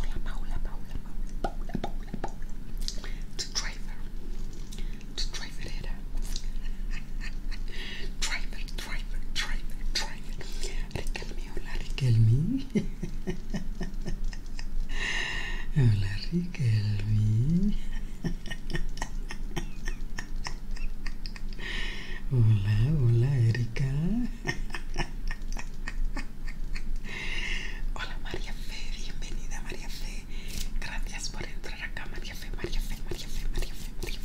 Paula, Paula, Paula, Paula, Paula. Tu Tu driver Driver, driver, driver, driver. hola Riquelme. hola Riquelme. hola, hola Erika. Hola María Fe, bienvenida María Fe. Gracias por entrar acá, María Fe, María Fe, María Fe, María Fe, María Fe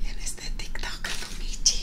Bien, este TikTok, Michi.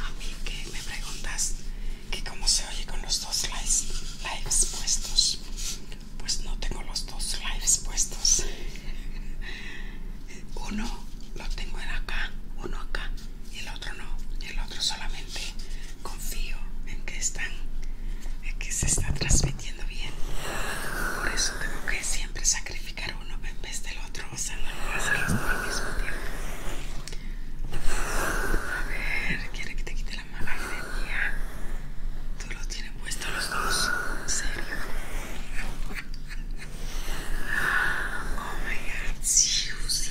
A mí que me preguntas que cómo se oye con los dos lives, puestos. Pues no tengo los dos lives puestos. Uno lo tengo en acá, uno acá. Y el otro no, y el otro solamente confío en que están, en que se está transmitiendo bien. Por eso tengo que siempre sacrificar uno en vez del otro, o sea, no al mismo tiempo. A ver, quiere que te quite la mala energía. Tú lo tienes puesto los dos, en serio. Oh my god, sí, sí.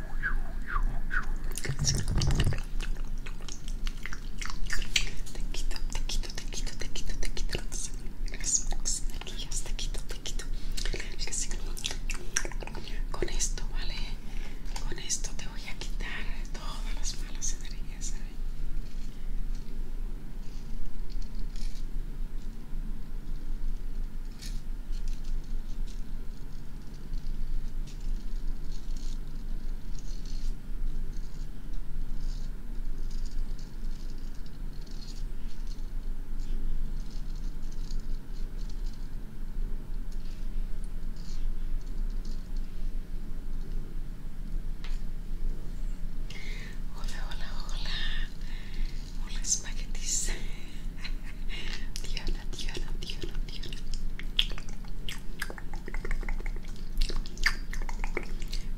Te quito, quito, quito, quito, quito Con esto, ¿vale? Con esto te voy a quitar todas las malas energías, Hola, hola, hola. Hola, h Diana, Diana, Diana, Diana.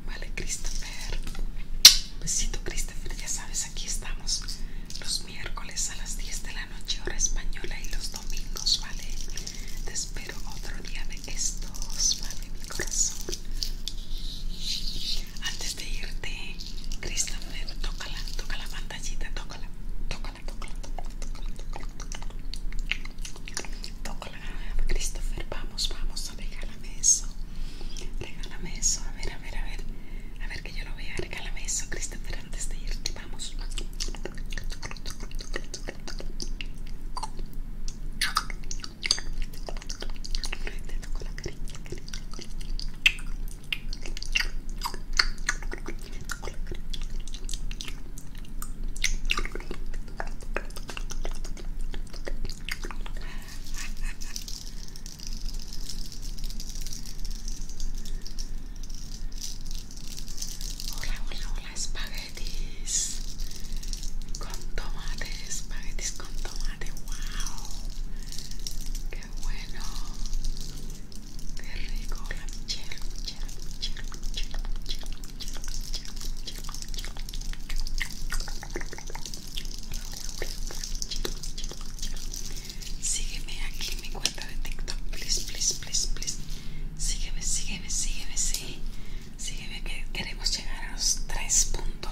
Vale, Christopher. Besito, Christopher. Ya sabes, aquí estamos los miércoles a las 10 de la noche, hora española, y los domingos, ¿vale? Te espero otro día de estos, ¿vale? Mi corazón. Antes de irte, Christopher, la, toca la pantallita, la, tócala. Toco la Christopher, vamos, vamos, regálame eso. Regálame eso, a ver, a ver, a ver. A ver que yo lo vea, regálame eso, Christopher, antes de irte, vamos. Hola, hola, hola, espaguetis con tomate, espaguetis con tomate, wow, qué bueno, Qué rico, la Sígueme aquí en mi cuenta de TikTok, please, please, please, please. Sígueme, sígueme, sígueme, sí. Sígueme que queremos llegar a los 3.0.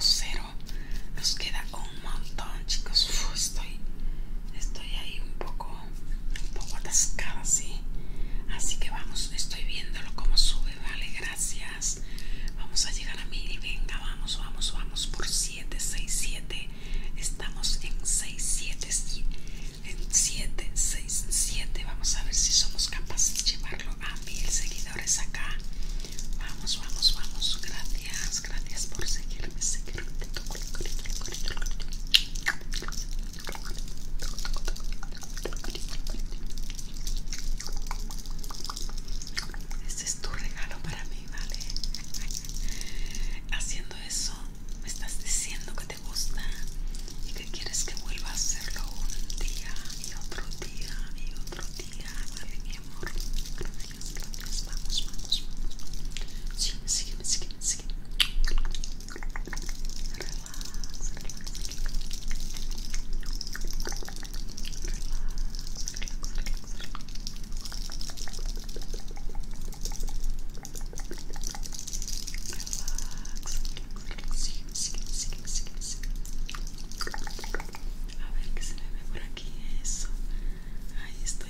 Nos queda un montón, chicos. estoy, estoy ahí un poco un poco atascada, Así que vamos, estoy viéndolo como sube, vale, gracias. Vamos a llegar a mil, venga, vamos, vamos, vamos por siete, seis, siete, Estamos en 67 en 7, seis, Vamos a ver si somos capaces de llevarlo a mil seguidores acá. Vamos, vamos, vamos, gracias gracias por seguirme, seguirme. Este es tu regalo para mí, ¿vale? Haciendo eso, me estás diciendo que te gusta y que quieres que vuelva a hacerlo un día y otro día y otro día, mi amor? gracias. Vamos, vamos, vamos. Sigue, sigue, sigue, sigue. Relaxa, relaxa. Relaxa, relaxa, relaxa. Relax. Sigue, sigamos, sigue, sigue, sigue. A ver qué se ve por aquí eso. Ahí estoy.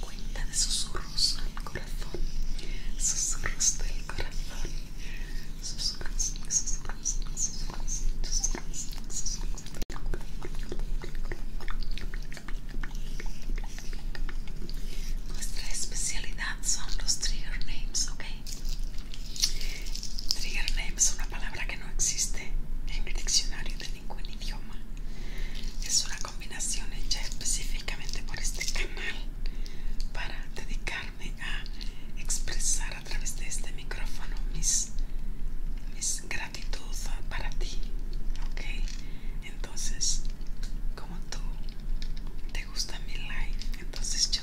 Cuenta de susurros al corazón. Susurros del corazón. Susurros, susurros, susurros, susurros, susurros. Nuestra especialidad son los trigger names, ¿ok? Trigger name es una palabra que no existe en el diccionario de ningún idioma. Es una combinación hecha específicamente por este canal para dedicarme a expresar a través de este micrófono mis, mis gratitud para ti. Ok, entonces, como tú te gusta mi live, entonces yo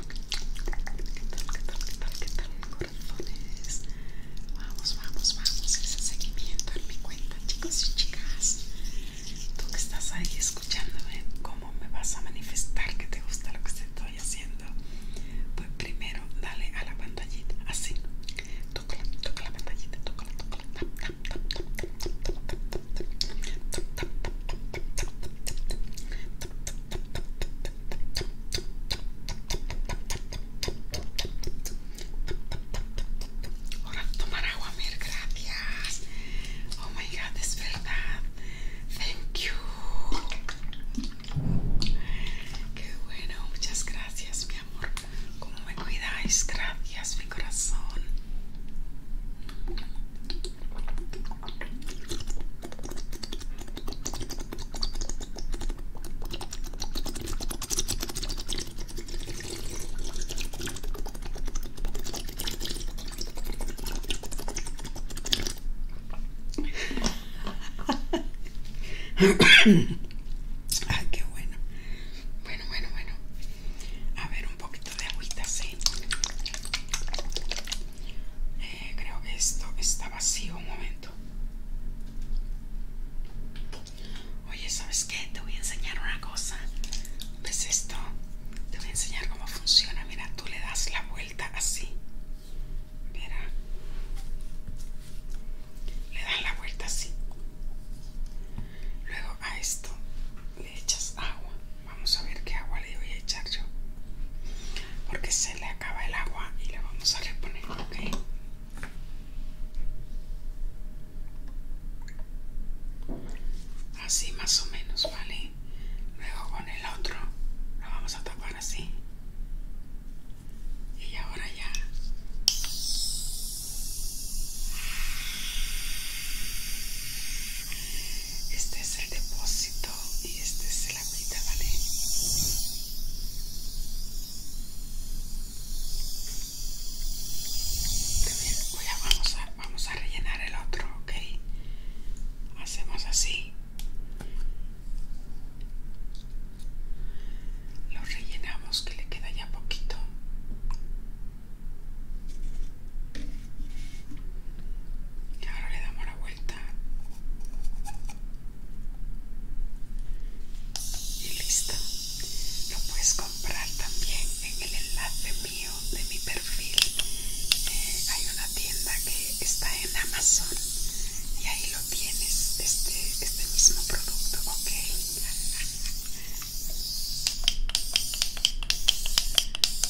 qué tal, Vamos, vamos, vamos, seguimiento en mi cuenta, chicos y chicas. Tú que estás ahí escuchándome, ¿cómo me vas a manifestar que te gusta lo que te estoy haciendo? Pues primero dale a la pantallita, así. Toca toca la pantallita, Ahora tomar agua, Mir, gracias. Oh my god, es verdad. Thank you. Qué bueno, muchas gracias, mi amor. Como me cuidáis, gracias, mi corazón. Ay, qué bueno. Bueno, bueno, bueno. A ver, un poquito de agüita, sí. Eh, creo que esto está vacío un momento. Oye, ¿sabes qué? Te voy a enseñar una cosa. ¿Ves esto? Te voy a enseñar cómo funciona. Mira, tú le das la vuelta así. Mira. Le das la vuelta así. Luego a esto le echas agua. Vamos a ver qué agua le voy a echar yo. Porque se le acaba el agua y le vamos a reponer, ¿ok? Así más o menos, ¿vale? Luego con el otro lo vamos a tapar así. Y ahora ya. Este es el depósito y este es el ¿vale? vamos, a, vamos a rellenar el otro, ¿ok? Hacemos así. Lo rellenamos que le queda ya poquito. Y ahora le damos la vuelta y listo lo puedes comprar también en el enlace mío de mi perfil eh, hay una tienda que está en amazon y ahí lo tienes este, este mismo producto ok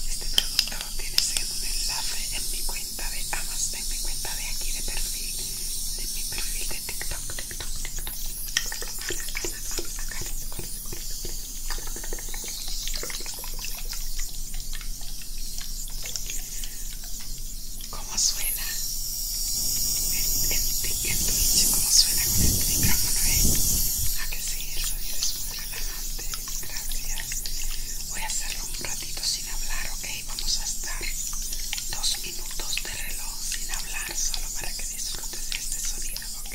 este producto lo tienes en un enlace en mi cuenta cuenta de Amas, denme cuenta de aquí de perfil, de mi perfil de TikTok, TikTok, TikTok. ¿Cómo suena? El, el Twitch, ¿cómo suena con este micrófono? Eh? ¿A ah, que sí? El sonido es muy relajante. Gracias. Voy a hacerlo un ratito sin hablar, ¿ok? vamos a estar dos minutos de reloj sin hablar, solo para que disfrutes de este sonido, ¿ok?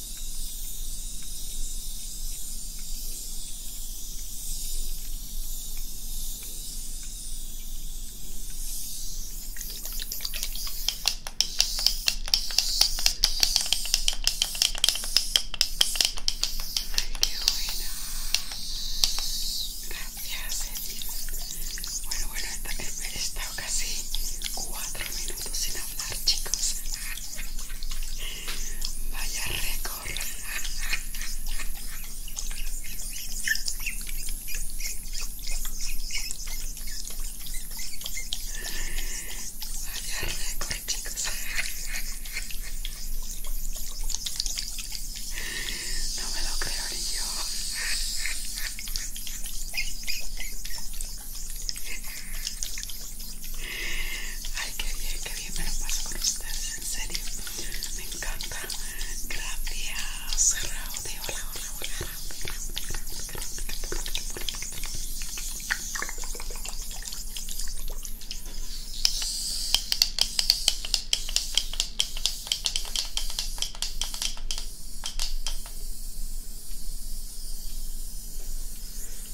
Ay, qué buena, gracias, Eddie. Bueno, bueno, esta que he estado casi cuatro minutos sin hablar chicos. Vaya récord. Vaya récord, chicos. No me lo creo ni yo. Ay, qué bien, qué bien me lo paso con ustedes, en serio. Me encanta. Gracias, Raúl.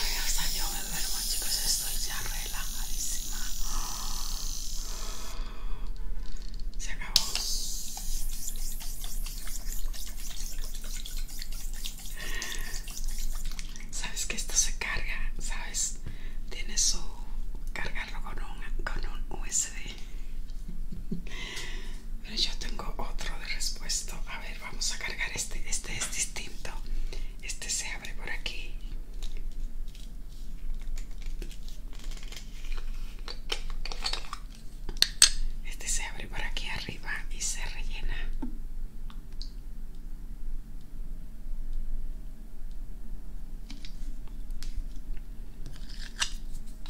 Ay, hasta yo me duermo, chicos. Estoy ya relajadísima. Se acabó. Sabes que esto se carga, sabes, tiene su cargarlo con un, con un USB. Pero yo tengo otro de respuesto. A ver, vamos a cargar este. Este es distinto. Este se abre por aquí. Este se abre por aquí arriba y se rellena.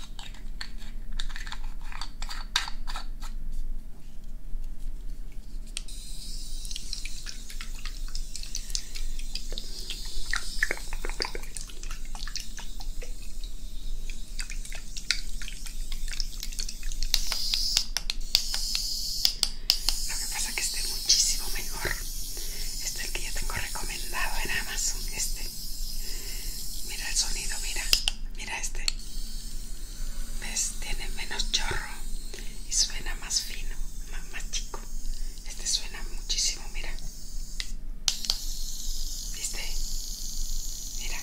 Lo que pasa es que este es muchísimo mejor. Este el que ya tengo recomendado en Amazon. Este Mira el sonido, mira, mira este. ¿Ves? Tiene menos chorro y suena más fino, más, chico. Este suena muchísimo, mira. ¿Viste? Mira.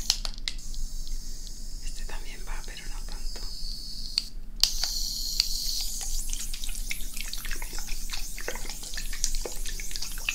Este también va, pero no tanto.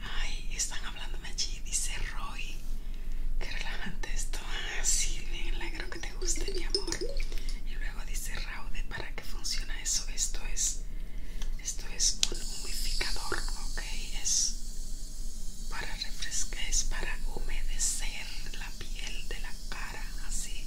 Ay, están hablándome allí, dice Roy. Qué relajante esto. Así, ah, bien, alegro que te guste, mi amor. Y luego dice Raude, ¿para qué funciona eso? Esto es, esto es un humificador, ¿ok? Es para refrescar, es para humedecer la piel de la cara, así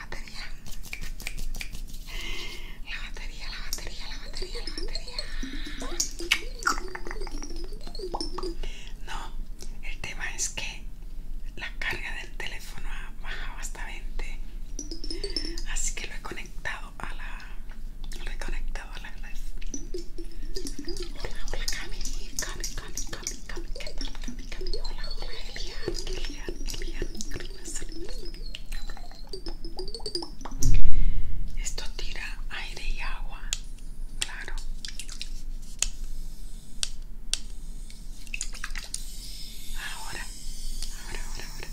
batería. La batería, la batería, la batería, la batería. No, el tema es que la carga del teléfono ha bajado hasta 20. Así que lo he conectado a la. Lo he conectado a la red. Hola, hola, Cami, Cami, Cami, Cami, Cami, Cami, Hola, hola, esto tira aire y agua, claro. Ahora, ahora, ahora, ahora.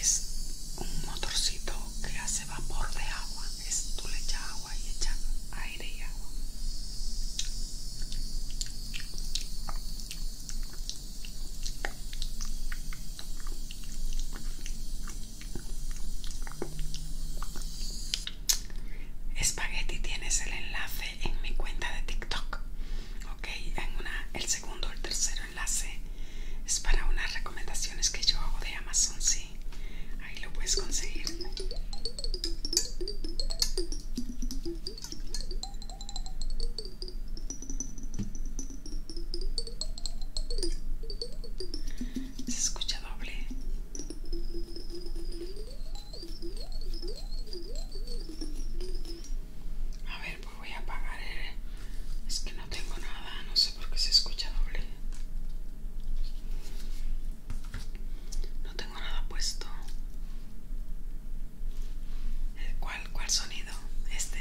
Es un motorcito que hace vapor de agua. Es, tú le echas agua y echas aire y agua. Espagueti tienes el enlace en mi cuenta de TikTok. Ok, en una, el segundo o el tercero enlace es para unas recomendaciones que yo hago de Amazon, sí. Ahí lo puedes conseguir. Se escucha doble. A ver, pues voy a apagar. Eh. Es que no tengo nada, no sé por qué se escucha doble. No tengo nada puesto. ¿Cuál, cuál sonido? Este.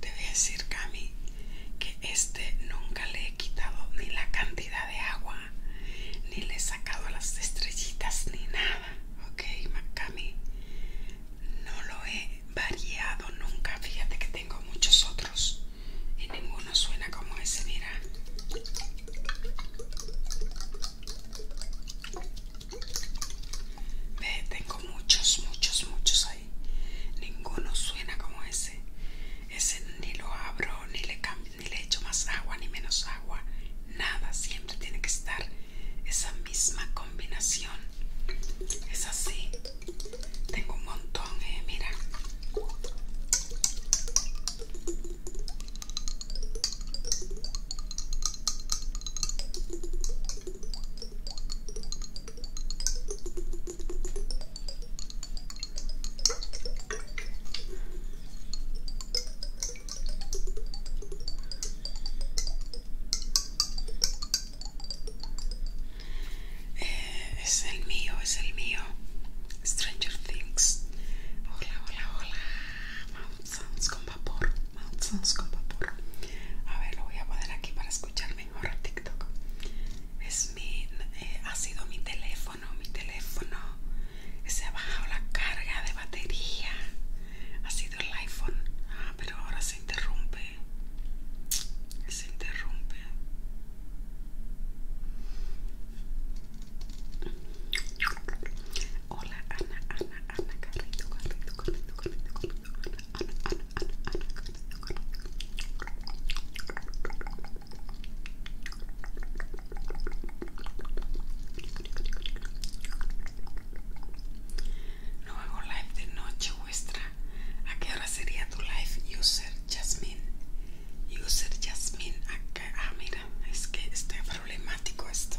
Te voy a decir, Cami, que este nunca le he quitado ni la cantidad de agua, ni le he sacado las estrellitas, ni nada. Ok, Cami, no lo he variado nunca. Fíjate que tengo muchos otros y ninguno suena como ese, mira. Ve, tengo muchos, muchos, muchos ahí. Ninguno suena como ese. Ese ni lo abro, ni le, cambio, ni le echo más agua, ni menos agua. Nada, siempre tiene que estar esa misma combinación. Es así. Tengo un montón, eh, mira. Eh, es el mío, es el mío. Stranger Things. Hola, hola, hola. Mount con vapor. Mount con vapor. A ver, lo voy a poner aquí para escuchar mejor a TikTok. Es mi, eh, ha sido mi teléfono, mi teléfono. Se ha bajado la carga de batería. Ha sido el iPhone. Ah, pero ahora se interrumpe. Se interrumpe. Hola Ana, Ana, Ana, carrito, carrito, carrito, carrito, Ana, Ana, Ana, Ana, carrito, carrito. No live de noche vuestra. ¿A qué hora sería tu live user? Jasmine. User Jasmine acá. Ah, mira, es que está problemático esto.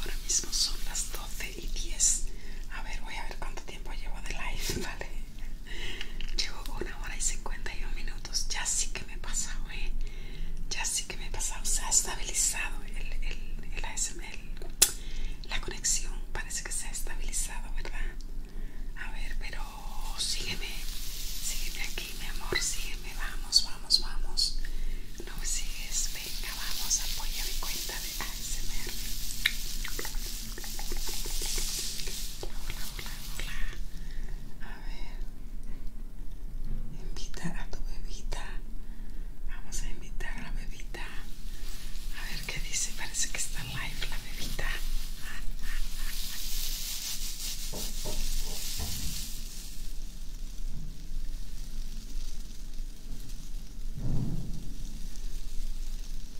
Ahora mismo son las 12 y 10. A ver, voy a ver cuánto tiempo llevo de live, ¿vale? Llevo una hora y 51 minutos. Ya sí que me he pasado, ¿eh? Ya sí que me he pasado. Se ha estabilizado el, el, el ASMR. la conexión parece que se ha estabilizado, ¿verdad? A ver, pero sígueme. Sígueme aquí, mi amor. Sígueme. Vamos, vamos, vamos. No me sigues. Venga, vamos. Apoya mi cuenta de ASMR. Hola, hola, hola. A ver. Invita a tu bebita. Vamos a invitar a la bebita. A ver qué dice. Parece que está live la bebita.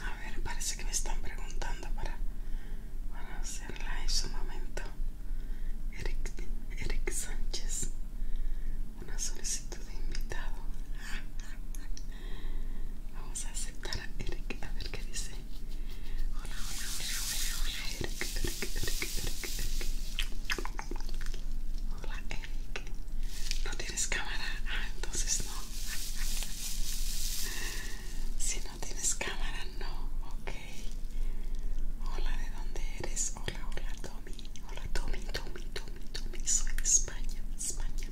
A ver, parece que me están preguntando para, para en su momento. Eric, Sánchez, una solicitud de invitado. Vamos a aceptar a Eric, a ver qué dice. Hola, hola, hola, hola, hola, Eric, Eric, Hola, ¿No tienes cámara? Ah, entonces no. Si no tienes cámara, no. Ok. Hola, ¿de dónde eres? Hola, hola, Tommy. Hola, Tommy, Tommy, Tommy, Tommy. Soy de España, España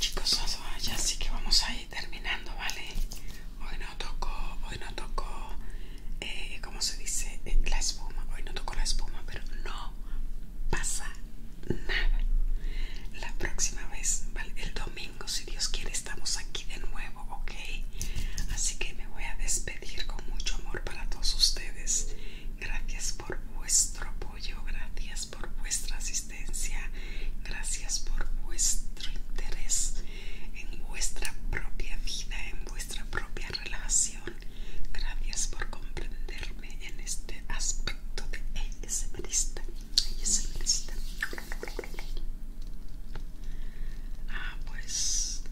chicos, ya sí que vamos a ir terminando, ¿vale? no tocó, hoy no tocó, eh, ¿cómo se dice? Eh, la espuma, hoy no tocó la espuma, pero no pasa nada. La próxima vez, el domingo, si Dios quiere, estamos aquí de nuevo, ¿ok? Así que me voy a despedir con mucho amor para todos ustedes. Gracias por vuestro apoyo, gracias por vuestra asistencia, gracias por vuestro interés en vuestra propia vida, en vuestra propia relación. Gracias por comprenderme en este aspecto de ASMRista. Ah, pues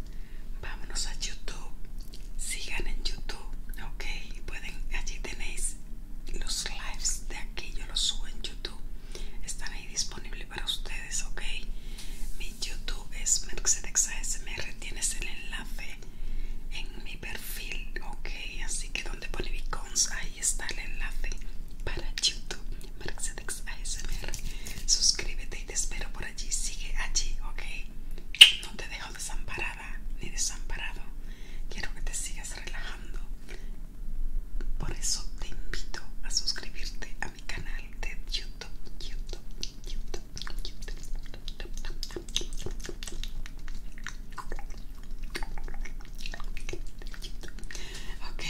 vámonos a YouTube. Sigan en YouTube, ok. Pueden, allí tenéis los lives de aquí, yo los subo en YouTube. Están ahí disponibles para ustedes, ok. YouTube es Mercedes ASMR, tienes el enlace en mi perfil, ok, así que donde pone Vicons, ahí está el enlace para YouTube, Mercedes ASMR, suscríbete y te espero por allí, sigue allí, ok, no te dejo desamparada ni desamparado, quiero que te sigas relajando, por eso te invito a suscribirte a mi canal de YouTube. Ok,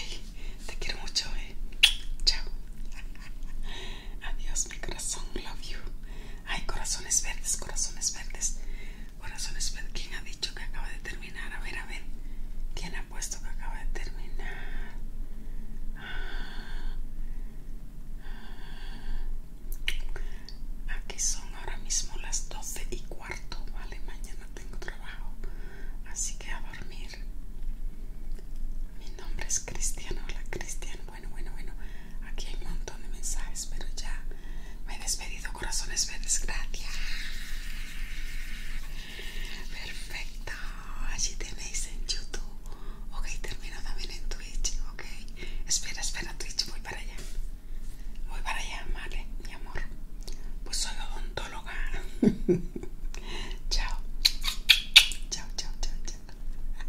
te quiero mucho, eh. Chao. Adiós, mi corazón. Love you. Ay, corazones verdes, corazones verdes. Corazones verdes. ¿Quién ha dicho que acaba de terminar? A ver, a ver. ¿Quién puesto que acaba de terminar. Aquí son ahora mismo las 12 y cuarto, ¿vale? Mañana tengo trabajo, así que a dormir. Mi nombre es Cristian, hola Cristian. Bueno, bueno, bueno, aquí hay un montón de mensajes, pero ya me he despedido, corazones verdes, gracias. Perfecto, allí tenéis en YouTube. Ok, termino también en Twitch. Ok, espera, espera, Twitch, voy para allá. Voy para allá, vale, mi amor. Pues soy odontóloga. chao, chao, chao, chao, chao.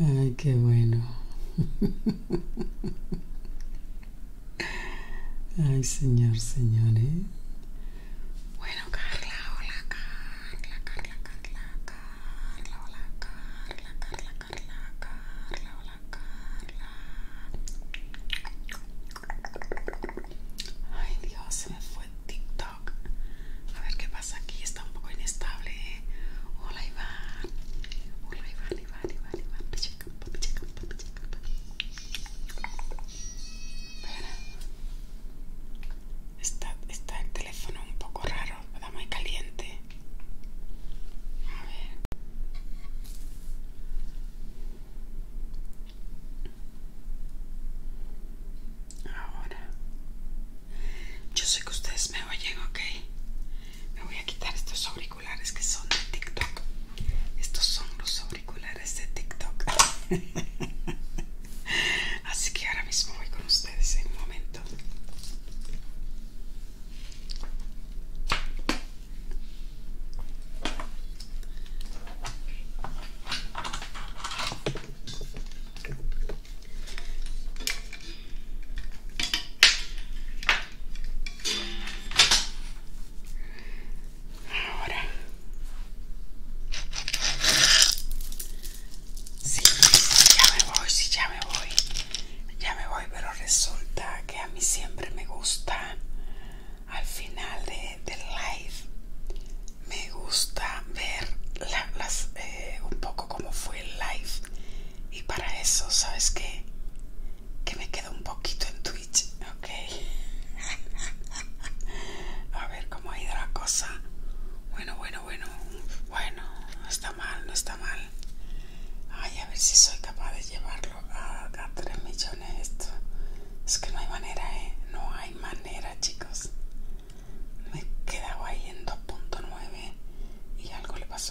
Ay, qué bueno. Ay, señor, señores. ¿eh? Bueno, Carla, hola, Carla, Carla, Carla, Carla, hola, Carla, Carla, Carla, Carla, hola, Carla. Ay, Dios, se me fue TikTok. A ver qué pasa aquí, está un poco inestable. ¿eh? Hola, Iván. Vale, vale, vale, vale, vale. Chica, papi, chica, papi, Está, está el teléfono un poco raro, está muy caliente. A ver. Ahora yo sé que ustedes me oyen, ok. Me voy a quitar estos auriculares que son de TikTok. Estos son los auriculares de TikTok. Así que ahora mismo voy con ustedes en un momento. Ahora sí, ya me voy, sí, ya me voy, ya me voy, pero resulta que a mí siempre me gusta al final de, del live me gusta ver las, eh, un poco cómo fue el live y para eso sabes qué? que me quedo un poquito en Twitch ok a ver cómo ha ido la cosa bueno bueno bueno bueno no está mal no está mal ay a ver si soy capaz de llevarlo a, tres 3 millones esto es que no hay manera eh no hay manera chicos me he quedado ahí en 2.9 y algo le pasó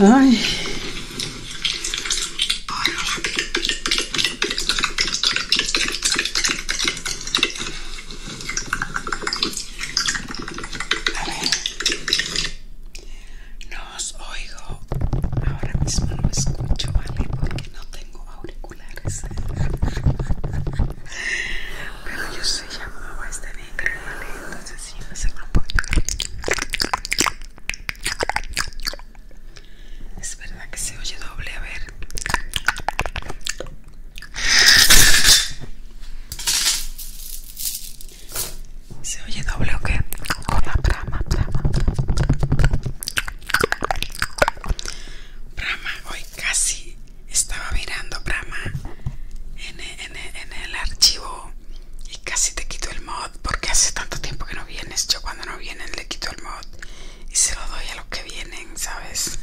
Ay. oigo. Ahora mismo no escucho, ¿vale? Porque no tengo auriculares. Pero yo soy este es verdad que se oye doble, a ver. ¿Se oye doble o qué? la brama, brama. Brama hoy casi estaba mirando brama en el archivo y casi te quito el mod porque hace tanto tiempo que no vienes. Yo cuando no vienen le quito el mod y se lo doy a los que vienen, ¿sabes?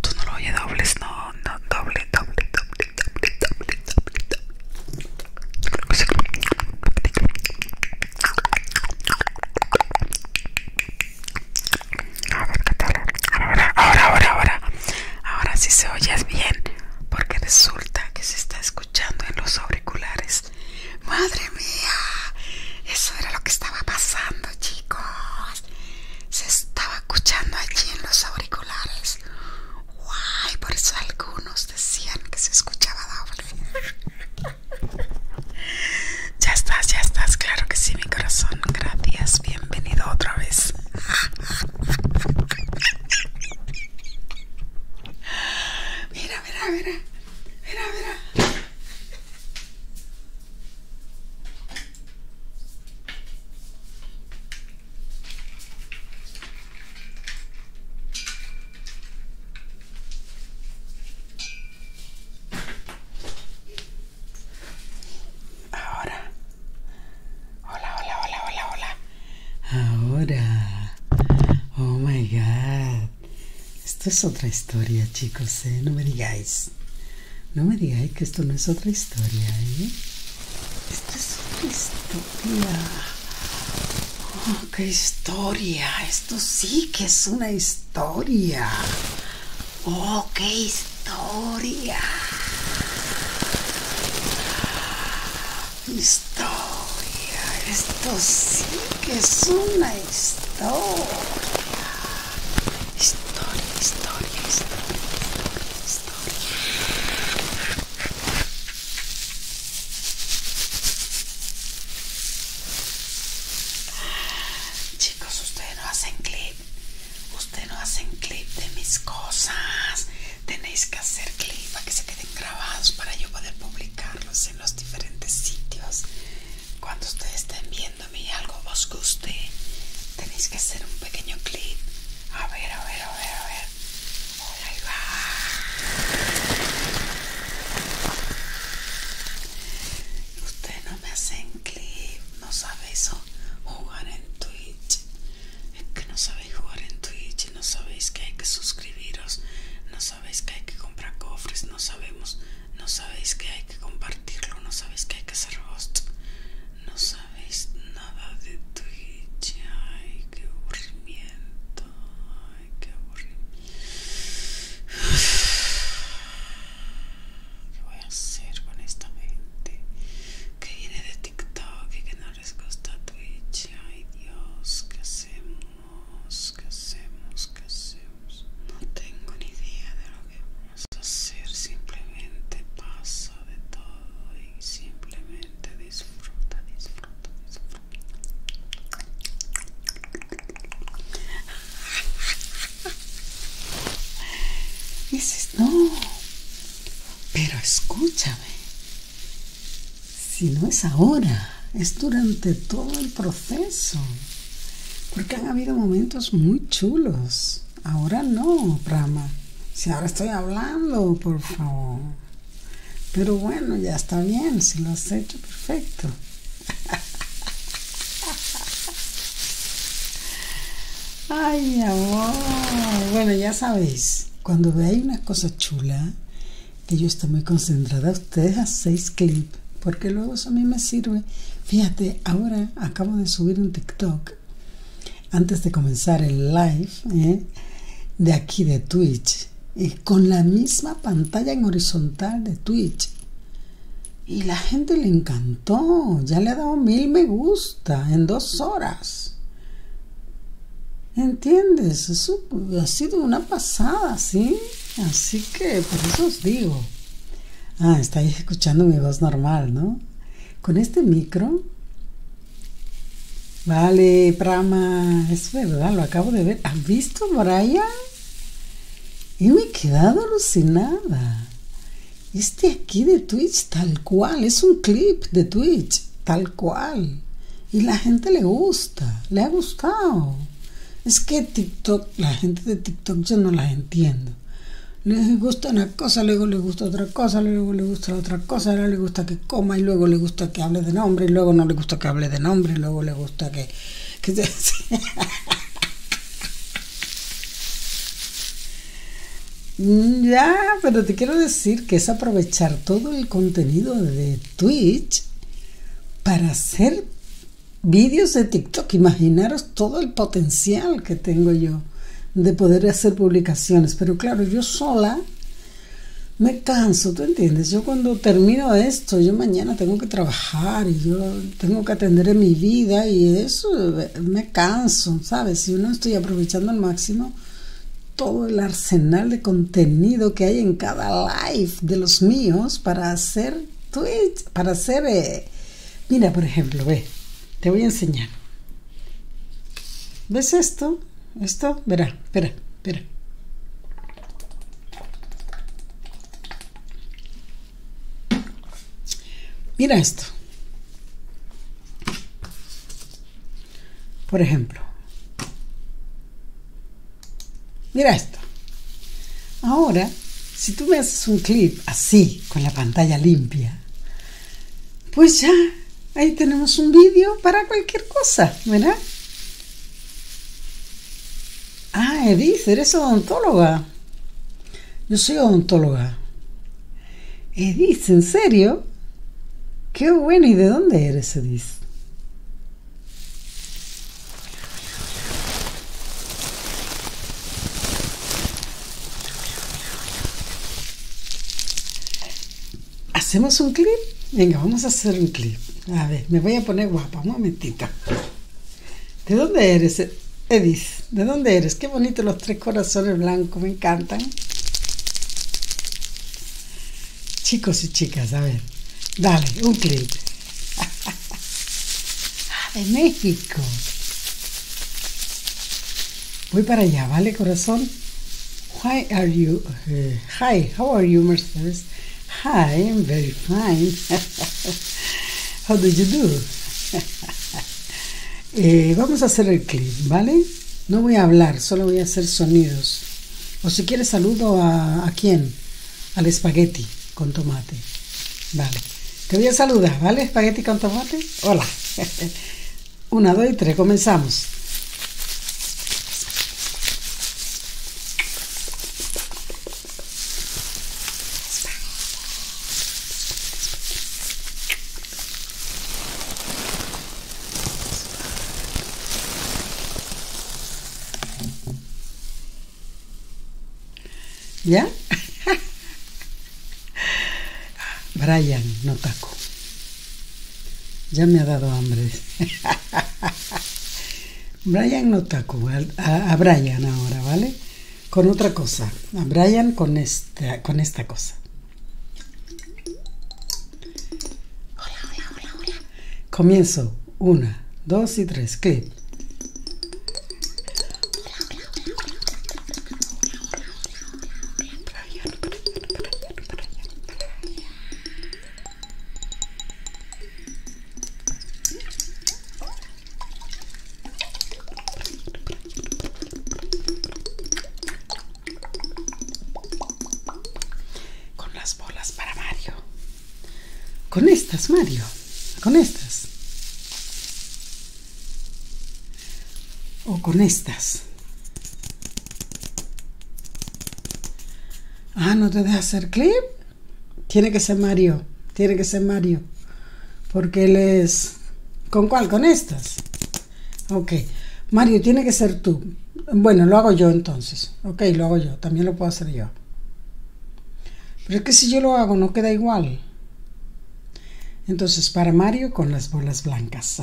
Tú no lo oyes dobles, no, no, doble, doble, doble, doble, doble, doble, doble. A ver qué Ahora, ahora, ahora, ahora. Ahora si se oyes bien porque resulta que se está escuchando en los auriculares. Madre mía, eso era lo que estaba pasando, chicos. Se estaba escuchando allí en los auriculares. Guay, por eso algunos decían que se escuchaba doble. ya estás, ya estás, claro que sí, mi corazón. Gracias, bienvenido otra vez. Mira, mira, mira. Mira, mira. Ahora Hola, hola, hola, hola, hola. Ahora. Oh my god. Esto es otra historia, chicos, ¿eh? No me digáis. No me digáis que esto no es otra historia, ¿eh? Esto es otra historia. Oh, qué historia. Esto sí que es una historia. Oh, qué historia. Historia, esto sí que es una historia. Historia, historia, historia, historia, historia. Chicos, ustedes no hacen clip. Ustedes no hacen clip de mis cosas tenéis que hacer clip para que se queden grabados para yo poder publicarlos en los diferentes sitios cuando ustedes estén viéndome y algo os guste tenéis que hacer un pequeño clip a ver a ver a ver a ver ahí va ustedes no me hacen clip no eso, jugar en twitch es que no sabéis jugar en Twitch, no sabéis que hay que suscribiros, no sabéis que hay que comprar cofres, no sabemos, no sabéis que hay que compartirlo, no sabéis que hay que hacer host, no sabéis nada de Twitch, ay, qué aburrimiento, ay, qué aburrimiento. ¿Qué voy a hacer con esta gente que viene de TikTok y que no les gusta Twitch. Ay Dios, ¿qué hacemos? ¿Qué hacemos? ¿Qué hacemos? No tengo ni idea de lo que vamos a hacer. Simplemente pasa de todo y simplemente disfruta, disfruta, disfruta. Dices, no, pero escúchame, si no es ahora, es durante todo el proceso. Porque han habido momentos muy chulos. Ahora no, Prama, Si ahora estoy hablando, por favor. Pero bueno, ya está bien, si lo has hecho, perfecto. Ay, amor. Bueno, ya sabéis cuando veáis una cosa chula, que yo estoy muy concentrada, ustedes hacéis clips, porque luego eso a mí me sirve. Fíjate, ahora acabo de subir un TikTok, antes de comenzar el live, ¿eh? de aquí de Twitch, con la misma pantalla en horizontal de Twitch. Y la gente le encantó, ya le ha dado mil me gusta en dos horas. ¿Entiendes? Eso ha sido una pasada, ¿sí? Así que por eso os digo. Ah, estáis escuchando mi voz normal, ¿no? Con este micro. Vale, Prama, es verdad, lo acabo de ver. ¿Has visto, Braya? Y me he quedado alucinada. Este aquí de Twitch, tal cual, es un clip de Twitch, tal cual cual. Y la gente le gusta, le ha gustado. Es que TikTok, la gente de TikTok yo no las entiendo. Les gusta una cosa, luego le gusta otra cosa, luego le gusta otra cosa, ahora les gusta que coma y luego le gusta que hable de nombre y luego no le gusta que hable de nombre y luego le gusta que... que Mm, ya, pero te quiero decir que es aprovechar todo el contenido de Twitch para hacer vídeos de TikTok. Imaginaros todo el potencial que tengo yo de poder hacer publicaciones. Pero claro, yo sola me canso, ¿tú entiendes? Yo cuando termino esto, yo mañana tengo que trabajar y yo tengo que atender mi vida y eso eh, me canso, ¿sabes? Si no estoy aprovechando al máximo todo el arsenal de contenido que hay en cada live de los míos para hacer Twitch, para hacer... Eh, mira, por ejemplo, ve, te voy a enseñar. ¿Ves esto? Esto, verá, espera, espera. Mira esto. Por ejemplo, mira esto. Ahora, si tú me haces un clip así, con la pantalla limpia, pues ya ahí tenemos un vídeo para cualquier cosa, ¿verdad? Ah, Edith, eres odontóloga. Yo soy odontóloga. Edith, ¿en serio? Qué bueno, ¿y de dónde eres, Edith? ¿Hacemos un clip? Venga, vamos a hacer un clip. A ver, me voy a poner guapa, un momentito. ¿De dónde eres, Edith? ¿De dónde eres? Qué bonito los tres corazones blancos, me encantan. Chicos y chicas, a ver, dale, un clip, ah, de México. Voy para allá, ¿vale, corazón? Why are you? Eh, hi, how are you, Mercedes? Hi, I'm very fine. how do you do? Eh, vamos a hacer el clip, ¿vale? No voy a hablar, solo voy a hacer sonidos. O si quieres saludo a, a quién? Al espagueti con tomate. Vale. Te voy a saludar, ¿vale? Espagueti con tomate. Hola. Una, dos y tres. Comenzamos. ¿Ya? Brian, no taco. Ya me ha dado hambre. Brian no taco, a, Brian ahora, ¿vale? Con otra cosa, a Brian con esta cosa. Hola, hola, hola, Comienzo. Una, dos y tres. ¿Qué? Con las bolas para Mario. Con estas, Mario. Con estas. O con estas. Ah, no te deja hacer clip. Tiene que ser Mario. Tiene que ser Mario. Porque les. ¿Con cuál? Con estas. Ok. Mario, tiene que ser tú. Bueno, lo hago yo entonces. Ok, lo hago yo. También lo puedo hacer yo. Pero es que si yo lo hago, no queda igual. Entonces, para Mario, con las bolas blancas.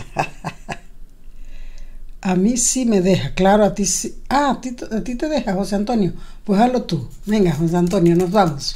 a mí sí me deja, claro, a ti sí. Ah, a ti, ti te deja, José Antonio. Pues hazlo tú. Venga, José Antonio, nos vamos.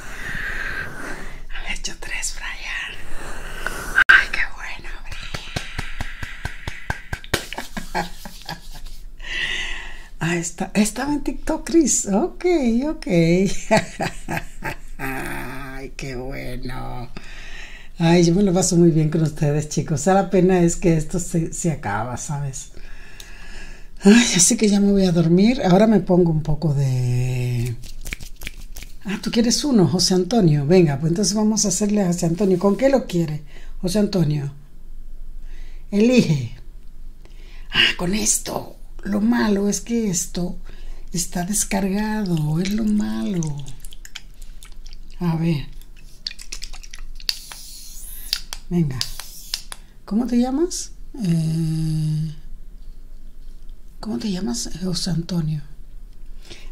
Han hecho tres, Brian. Ay, qué bueno, ah, está, estaba en TikTok, Chris. Ok, ok. Ay, qué bueno. Ay, yo me lo paso muy bien con ustedes, chicos. O sea, la pena es que esto se, se acaba, ¿sabes? Ay, así que ya me voy a dormir. Ahora me pongo un poco de Ah, tú quieres uno, José Antonio. Venga, pues entonces vamos a hacerle a José Antonio. ¿Con qué lo quiere, José Antonio? Elige. Ah, con esto. Lo malo es que esto está descargado. Es lo malo. A ver. Venga. ¿Cómo te llamas? Eh, ¿Cómo te llamas, José Antonio?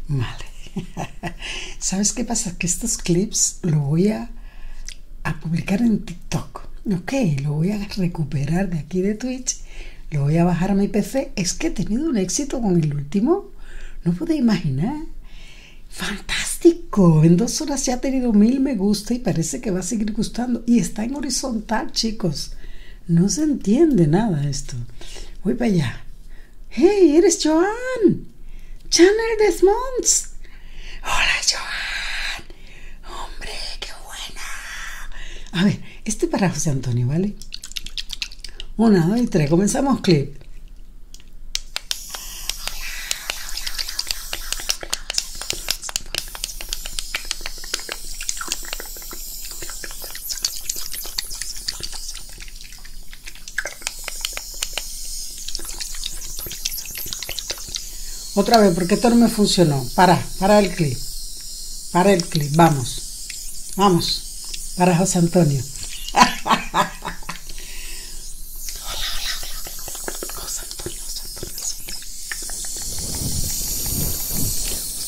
Mm. Vale. ¿Sabes qué pasa? Que estos clips los voy a, publicar en TikTok. Ok, lo voy a recuperar de aquí de Twitch. Lo voy a bajar a mi PC. Es que he tenido un éxito con el último. No pude imaginar. Fantástico. En dos horas ya ha tenido mil me gusta y parece que va a seguir gustando. Y está en horizontal, chicos. No se entiende nada esto. Voy para allá. ¡Hey, eres Joan! ¡Channel Desmonds. ¡Hola, Joan! ¡Hombre, qué buena! A ver, este para José Antonio, ¿vale? Una, dos y tres. Comenzamos clip. Otra vez, porque esto no me funcionó. Para, para el clip. Para el clip, vamos. Vamos. Para José Antonio. José Antonio. Hola Chanel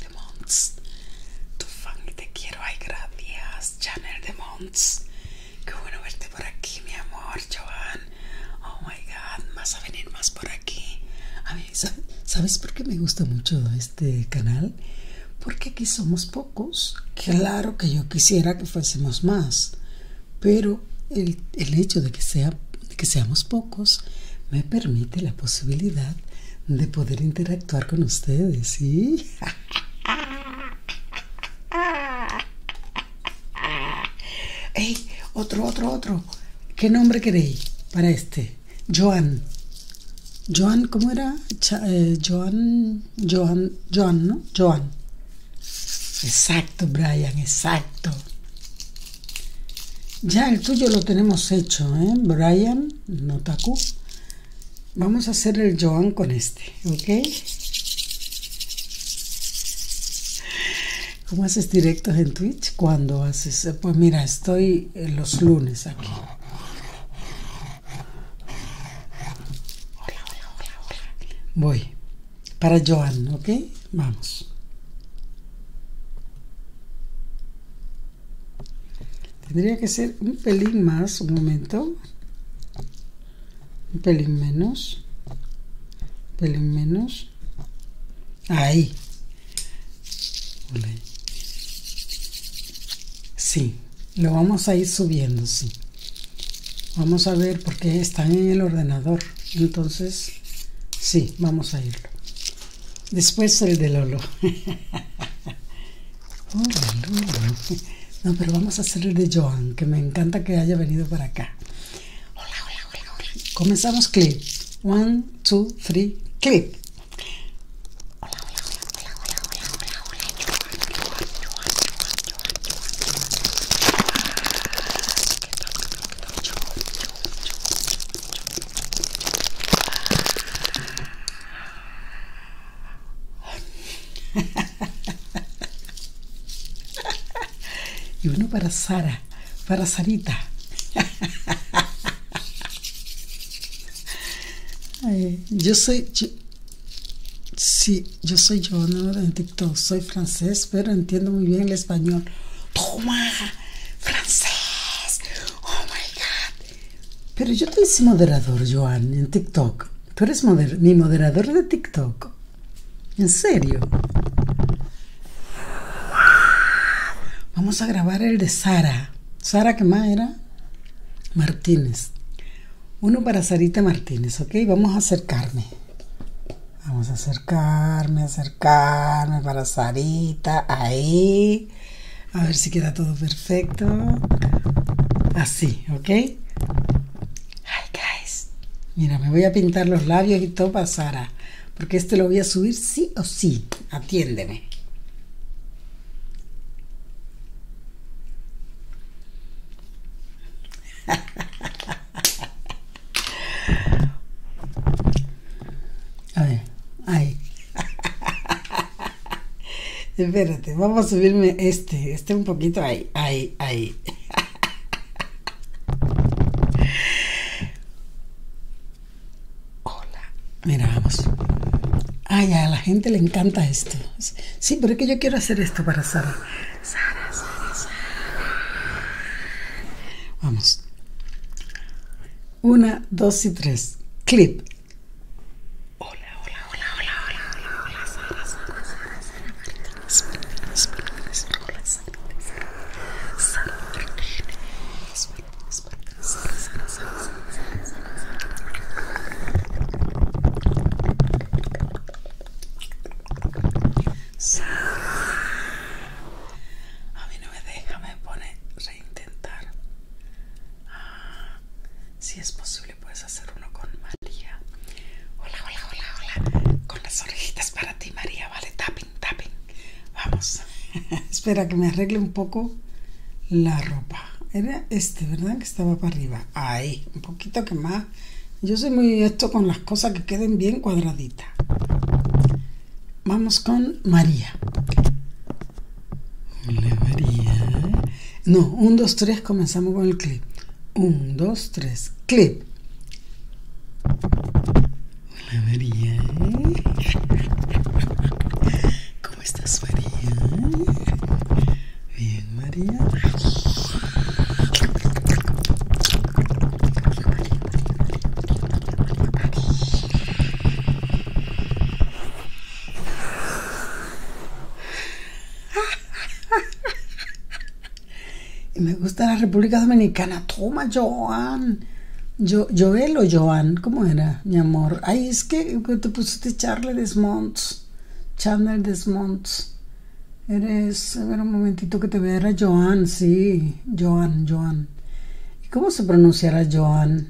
de Monts, tu fan y te quiero, ay gracias Chanel de Monts, qué bueno verte por aquí mi amor Joan, Oh my god, vas a venir más por aquí. A ¿sabes por qué me gusta mucho este canal? Porque aquí somos pocos. Claro que yo quisiera que fuésemos más, pero el, hecho de que, que seamos pocos me permite la posibilidad de poder interactuar con ustedes, ¿sí? ¡Ey! Otro, otro, otro. ¿Qué nombre queréis para este? Joan. Joan, ¿cómo era? Eh, Joan, Joan, Joan, ¿no? Joan. Exacto, Brian, exacto. Ya el tuyo lo tenemos hecho, ¿eh? Brian Notaku. Vamos a hacer el Joan con este, ¿ok? ¿Cómo haces directos en Twitch? ¿Cuándo haces? Eh, pues mira, estoy eh, los lunes aquí. Hola, hola, hola, hola. Voy. Para Joan, ¿ok? Vamos. Tendría que ser un pelín más, un momento. Un pelín menos. Un pelín menos. Ahí. Sí, lo vamos a ir subiendo, sí. Vamos a ver porque está en el ordenador. Entonces, sí, vamos a ir Después el de Lolo. Lolo. No, pero vamos a hacer el de Joan, que me encanta que haya venido para acá. Hola, hola, hola, Comenzamos clip. One, two, three, clip. y uno para Sara para Sarita. Eh, yo soy, sí, yo soy yo, no TikTok, soy francés, pero entiendo muy bien el español. Toma, francés, oh my god. Pero yo te hice moderador, Joan, en TikTok. Tú eres mi moderador de TikTok. En serio. Vamos a grabar el de Sara. Sara, ¿qué más era? Martínez. Uno para Sarita Martínez, ¿ok? Vamos a acercarme. Vamos a acercarme, acercarme para Sarita. Ahí. A ver si queda todo perfecto. Así, ¿ok? Hi, guys. Mira, me voy a pintar los labios y todo para Sara porque este lo voy a subir sí o sí. Atiéndeme. A ver, ahí. Espérate, vamos a subirme este, este un poquito ahí, ahí, ahí. Hola. Mira, vamos. Ay, a la gente le encanta esto. Sí, pero es que yo quiero hacer esto para Sara. Sara, Sara, Vamos. Una, dos y tres. Clip. Hola, hola, hola, hola, hola, hola, Sara, a mí no me deja, me pone reintentar. Ah, si es posible, puedes hacer uno con María. Hola, hola, hola, hola. Con las orejitas para ti, María, vale, tapen, Vamos. Espera que me arregle un poco la ropa. Era este, ¿verdad? Que estaba para arriba. Ahí, un poquito que más. Yo soy muy esto con las cosas que queden bien cuadraditas. Vamos con María. María. No, 1, dos, tres, comenzamos con el clip. 1, dos, tres, clip. Hola María. ¿Cómo estás María? Bien María. Y me gusta la República Dominicana. Toma, Joan. Yo, Joel Joan, ¿cómo era, mi amor? Ay, es que te pusiste Charlie Desmonts. Chandler Desmonts. Eres, a ver un momentito que te vea, era Joan, sí, Joan, Joan. ¿Y cómo se pronunciará Joan?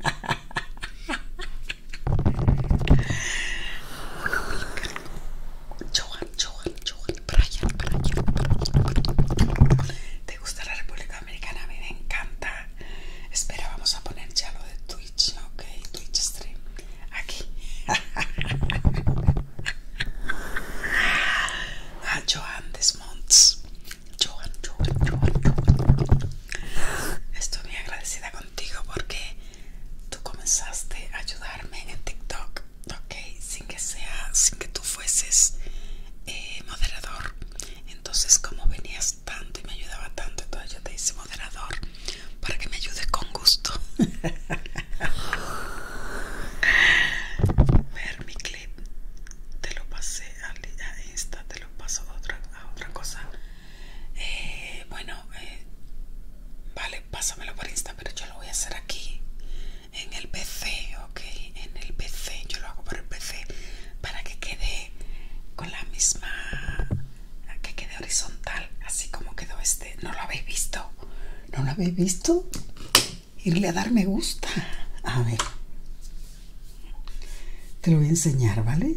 Joan. Johan, Johan, Brian, ¿Te gusta la República Americana? A mí me encanta. Espera, vamos a poner ya lo de Twitch, ok, Twitch stream. Aquí. Ah, Johan Desmonts. Joan, Johan, Johan, Estoy muy agradecida contigo porque tú comenzaste a ayudarme en TikTok ok sin que sea sin que tú fueses eh, moderador entonces como venías tanto y me ayudaba tanto entonces yo te hice moderador para que me ayudes con gusto ver mi clip te lo pasé a insta te lo paso a otra, cosa eh, bueno eh, vale pásamelo por insta pero yo lo voy a hacer aquí en el PC, ok, en el PC, yo lo hago por el PC para que quede con la misma, que quede horizontal, así como quedó este, ¿no lo habéis visto? ¿No lo habéis visto? Irle a dar me gusta, a ver, te lo voy a enseñar, ¿vale?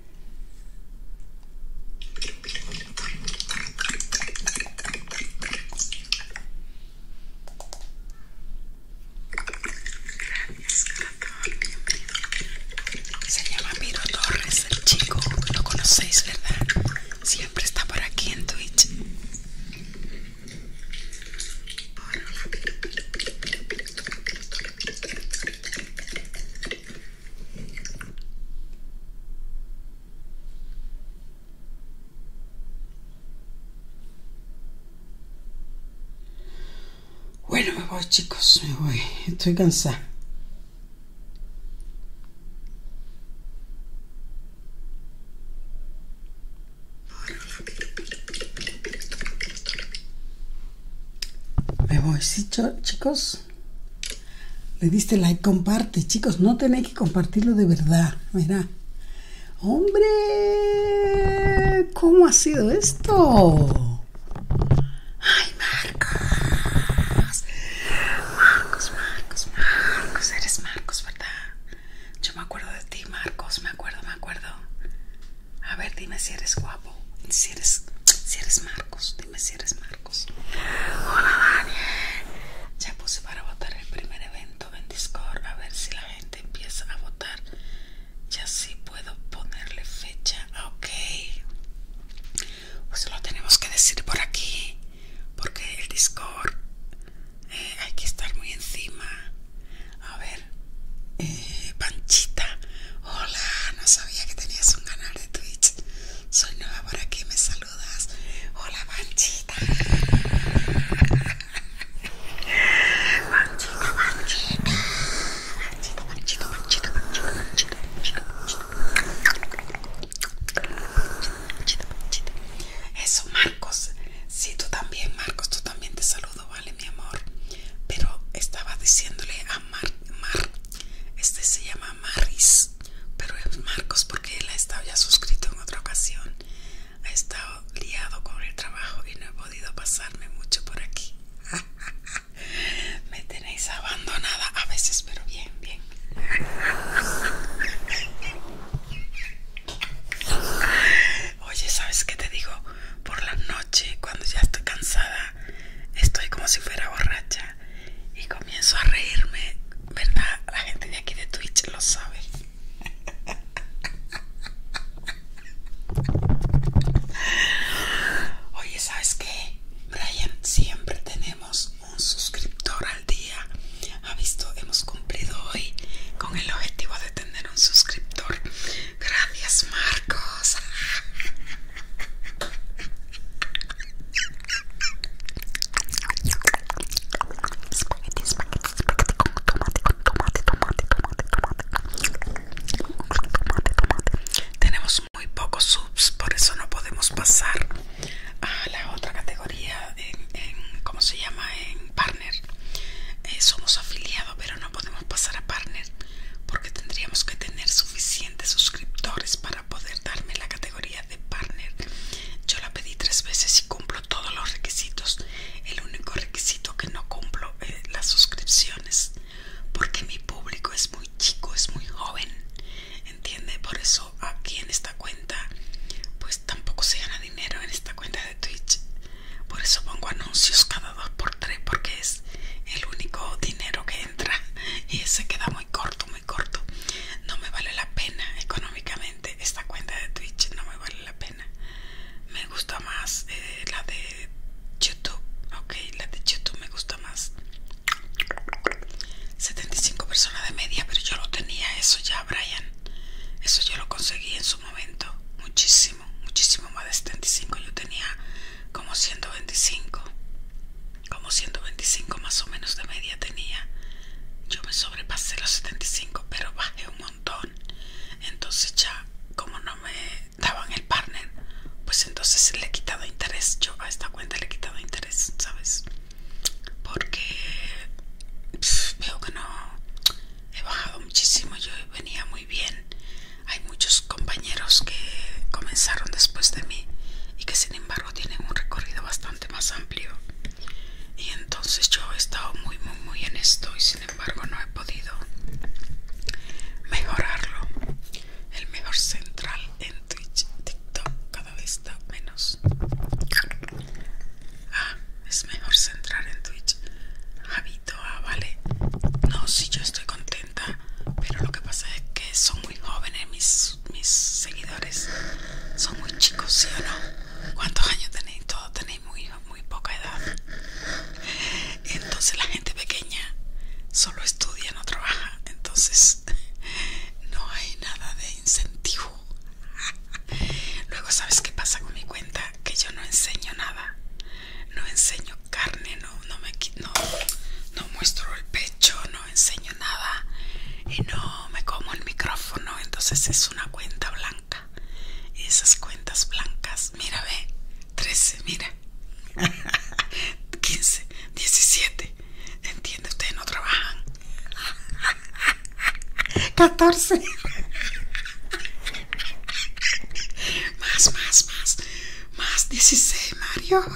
Se llama Miro Torres, el chico lo conocéis, ¿verdad? Siempre está por aquí en Twitch. Bueno, me voy chicos, me voy. Estoy cansada. Me voy, sí, chicos. Le diste like, comparte, chicos. No tenéis que compartirlo de verdad. Mira. Hombre, ¿cómo ha sido esto? Ay, Marcos. Marcos, Marcos, Marcos. Eres Marcos, ¿verdad? Yo me acuerdo de ti, Marcos. Me acuerdo, me acuerdo. A ver, dime si eres guapo. Si eres, si eres Marcos, dime si eres Marcos. Hola, Dani Ya puse para votar el primer evento en Discord. A ver si la gente empieza a votar. Ya sí puedo ponerle fecha. Ok. Pues lo tenemos que decir por aquí. Porque el Discord eh, hay que estar muy encima. A ver. Eh, Panchita, hola, no sabía que tenías un canal de Twitch. Soy nueva por aquí, me saludas. Hola, Panchita. Panchita, Panchita. Panchita, Panchita, Panchita, Panchita, Panchita, Panchita, Panchita, Eso, Marcos. Sí, tú también, Marcos, tú también te saludo, vale mi amor pero estaba diciéndole a Mar, Mar este se llama Maris pero es Marcos porque él ha estado ya suscrito en otra ocasión ha estado liado con el trabajo y no he podido pasarme mucho por aquí me tenéis abandonada a veces pero bien bien Oye, ¿sabes qué te digo? por la noche cuando ya estoy cansada estoy como si fuera borracha y comienzo a reírme verdad la gente de aquí de Twitch lo sabe oye sabes qué Brian siempre tenemos un suscriptor al día ha visto hemos cumplido hoy con el objetivo de tener un suscriptor Gracias, Marcos. Tenemos muy pocos subs, por eso no podemos pasar a la otra categoría en, ¿cómo se llama? En partner. Eh, somos afiliados, pero no podemos pasar a partner porque tendríamos que tener suficientes suscriptores para poder darme la categoría de partner. Yo la pedí tres veces y cumplo todos los requisitos. El único requisito que no cumplo es eh, las suscripciones porque mi público es muy chico, es muy joven. ¿Entiende? Por eso aquí en esta cuenta pues tampoco se gana dinero en esta cuenta de Twitch. Por eso pongo anuncios cada dos por tres porque es el único dinero que entra y ese queda muy corto, muy corto. No me vale la pena económicamente esta cuenta de Twitch, no me vale la pena. Me gusta más eh, la de YouTube, ok, la de YouTube me gusta más. 75 personas de media, pero yo lo tenía eso ya, Brian. Eso yo lo conseguí en su momento, muchísimo, muchísimo más de 75. Yo tenía como 125, como 125 más o menos de media tenía. Yo me sobrepasé los 75, pero bajé un montón. Entonces ya, como no me daban el partner, pues entonces le he quitado interés. Yo a esta cuenta le he quitado interés, ¿sabes? Porque veo que no he bajado muchísimo. Yo venía muy bien. Hay muchos compañeros que comenzaron después de mí y que sin embargo tienen un recorrido bastante más amplio. Y entonces yo he estado muy, muy, muy en esto y sin embargo no he podido mejorarlo. El mejor central en Twitch, TikTok cada vez está menos. Ah, es mejor central en Twitch. habito ah, vale. No, si yo estoy contenta pero lo que pasa es que son muy jóvenes mis, mis seguidores, son muy chicos, ¿sí o no? ¿Cuántos años tenéis? Todos tenéis muy, muy poca edad. Entonces la gente pequeña solo estudia, no trabaja, entonces no hay nada de incentivo. Luego, ¿sabes qué pasa con mi cuenta? Que yo no enseño nada. No enseño carne, no, no me no, no muestro el pecho, no enseño nada y no me como el micrófono, entonces es una cuenta blanca. esas cuentas blancas, mira, ve, 13, mira, 15, 17, entiende, ustedes no trabajan. 14. más, más, más. Más 16, Mario.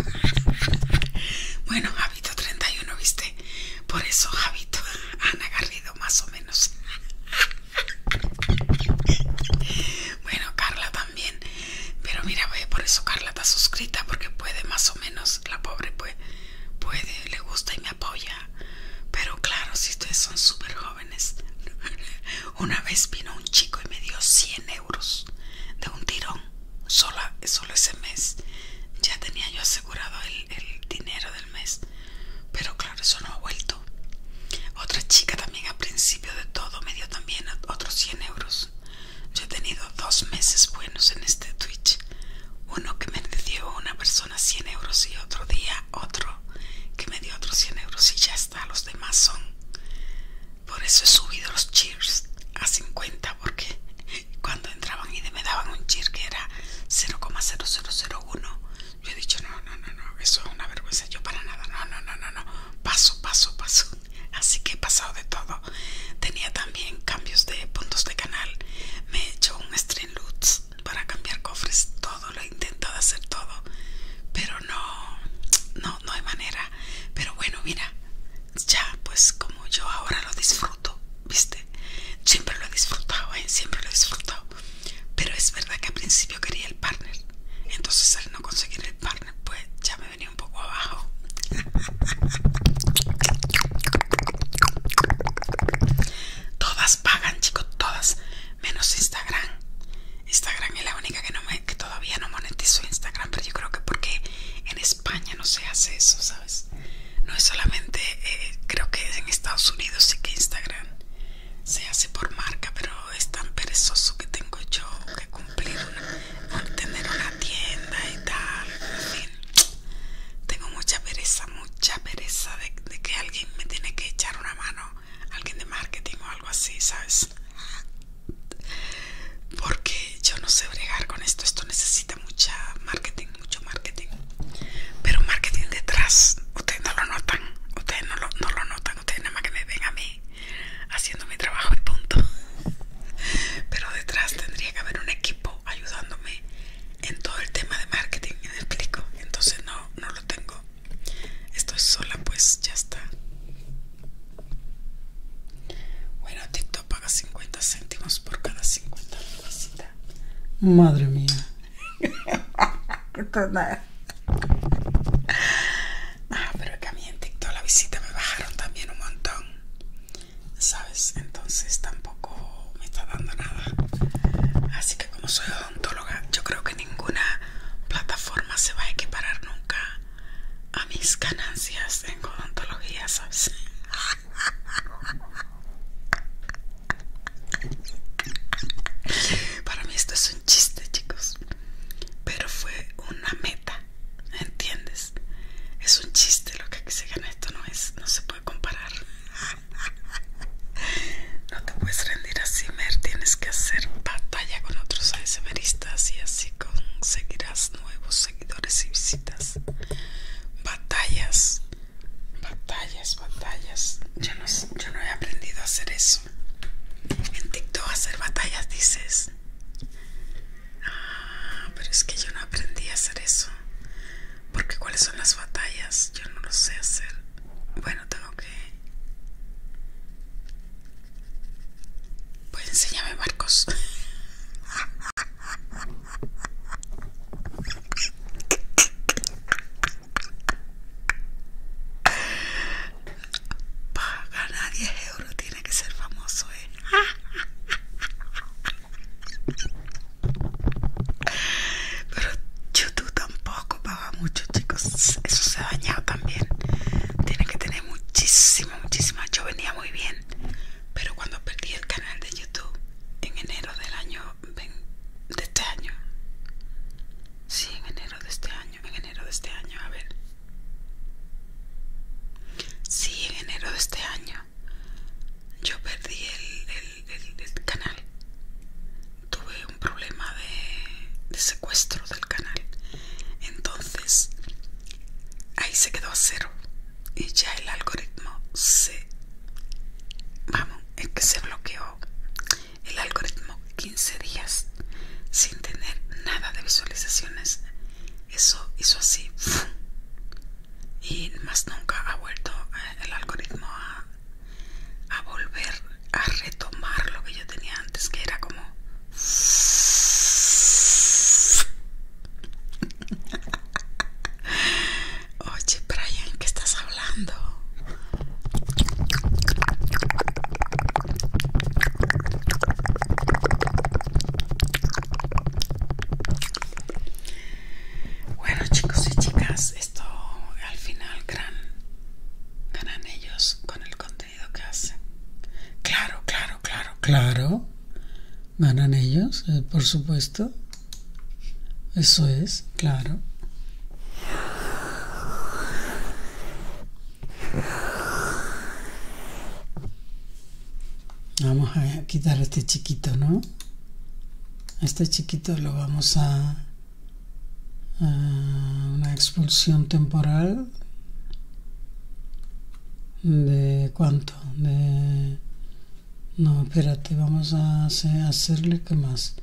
Bueno, Javito 31, ¿viste? Por eso, Javito, han agarrido más o menos. Bueno, Carla también. Pero mira, ve, por eso Carla está suscrita, porque puede más o menos, la pobre puede, puede, le gusta y me apoya. Pero claro, si ustedes son súper jóvenes. Una vez vino un chico y me dio 100 euros de un tirón, solo, ese mes. Ya tenía yo asegurado el, dinero del mes, pero claro, eso no ha vuelto. Otra chica también al principio de todo me dio también otros 100 euros. Yo he tenido dos meses buenos en este Twitch. Uno que me dio una persona 100 euros y otro día otro que me dio otros 100 euros y ya está. Los demás son por eso he subido los cheers a 50 porque cuando entraban y me daban un cheer que era 0,0001 yo he dicho no, no, no, no, eso es una vergüenza, yo para nada, no, no, no, no, no, paso, paso, paso. Así que he pasado de todo. Tenía también cambios de puntos de canal. Me he hecho un stream para cambiar cofres, todo, lo he intentado hacer todo. Pero no, no, no hay manera pero bueno mira ya pues como yo ahora lo disfruto viste siempre lo he disfrutado ¿eh? siempre lo he disfrutado pero es verdad que al principio quería el partner entonces al no conseguir el partner pues ya me venía un poco abajo todas pagan chicos todas menos instagram Instagram es la única que, no me, que todavía no monetizo Instagram, pero yo creo que porque en España no se hace eso, ¿sabes? No es solamente, eh, creo que en Estados Unidos sí que Instagram se hace por marca, pero es tan perezoso que tengo yo que cumplir, una, tener una tienda y tal, en fin. Tengo mucha pereza, mucha pereza de que alguien me tiene que echar una mano, alguien de marketing o algo así, ¿sabes? porque yo no sé bregar con esto. Esto necesita mucha marketing, mucho marketing. Pero marketing detrás, ustedes no lo notan. Ustedes no lo, no lo notan. Ustedes nada más que me ven a mí haciendo mi trabajo y punto. Pero detrás tendría que haber un equipo ayudándome en todo el tema de marketing. ¿Me explico? Entonces no, no lo tengo. esto es sola, pues ya está. Bueno, TikTok paga 50 céntimos por cada 50 visitas. Madre mía. ah, pero es que a mí en TikTok la visita me bajaron también un montón. ¿Sabes? Entonces tampoco me está dando nada. Así que como soy odontóloga, yo creo que ninguna plataforma se va a equiparar nunca a mis ganancias en odontología, ¿sabes? Para mí esto es un chiste, chicos. Pero fue una meta, ¿entiendes? Es un chiste lo que se gana esto, no es, no se puede comparar. No te puedes rendir así, Mer, tienes que hacer batalla con otros ASMRistas y así conseguirás nuevos seguidores y visitas. Batallas, batallas, batallas. Yo no, yo no he aprendido a hacer eso. En TikTok hacer batallas dices. Ah, pero es que yo no aprendí a hacer eso. Porque cuáles son las batallas, yo no lo sé hacer. Bueno, tengo que pues enséñame, Marcos. Para ganar 10 euros tiene que ser famoso, ¿eh? Pero YouTube tampoco paga mucho, chicos. Eso se ha dañado también. Tiene que tener muchísimo muchísimo, Yo venía muy bien, pero cuando perdí el canal de YouTube en enero del año de este año, sí, en enero de este año, en enero de este año, a ver, sí, en enero de este año, yo perdí el, canal. Tuve un problema de, de secuestro del canal. Entonces ahí se quedó a cero y ya el algoritmo se vamos es que se bloqueó el algoritmo 15 días sin tener nada de visualizaciones eso hizo así y más nunca ha vuelto eh, el algoritmo a volver a retomar lo que yo tenía antes que era como Oye, Brian, ¿qué estás hablando? Bueno, chicos y chicas, esto al final gran ganan ellos con el contenido hacen. Claro, claro, claro, claro. Ganan ellos, eh, por supuesto. Eso es, claro. Vamos a quitar a este chiquito, ¿no? A este chiquito lo vamos a, a una expulsión temporal ¿De cuánto? De... No, espérate, vamos a hacerle que más.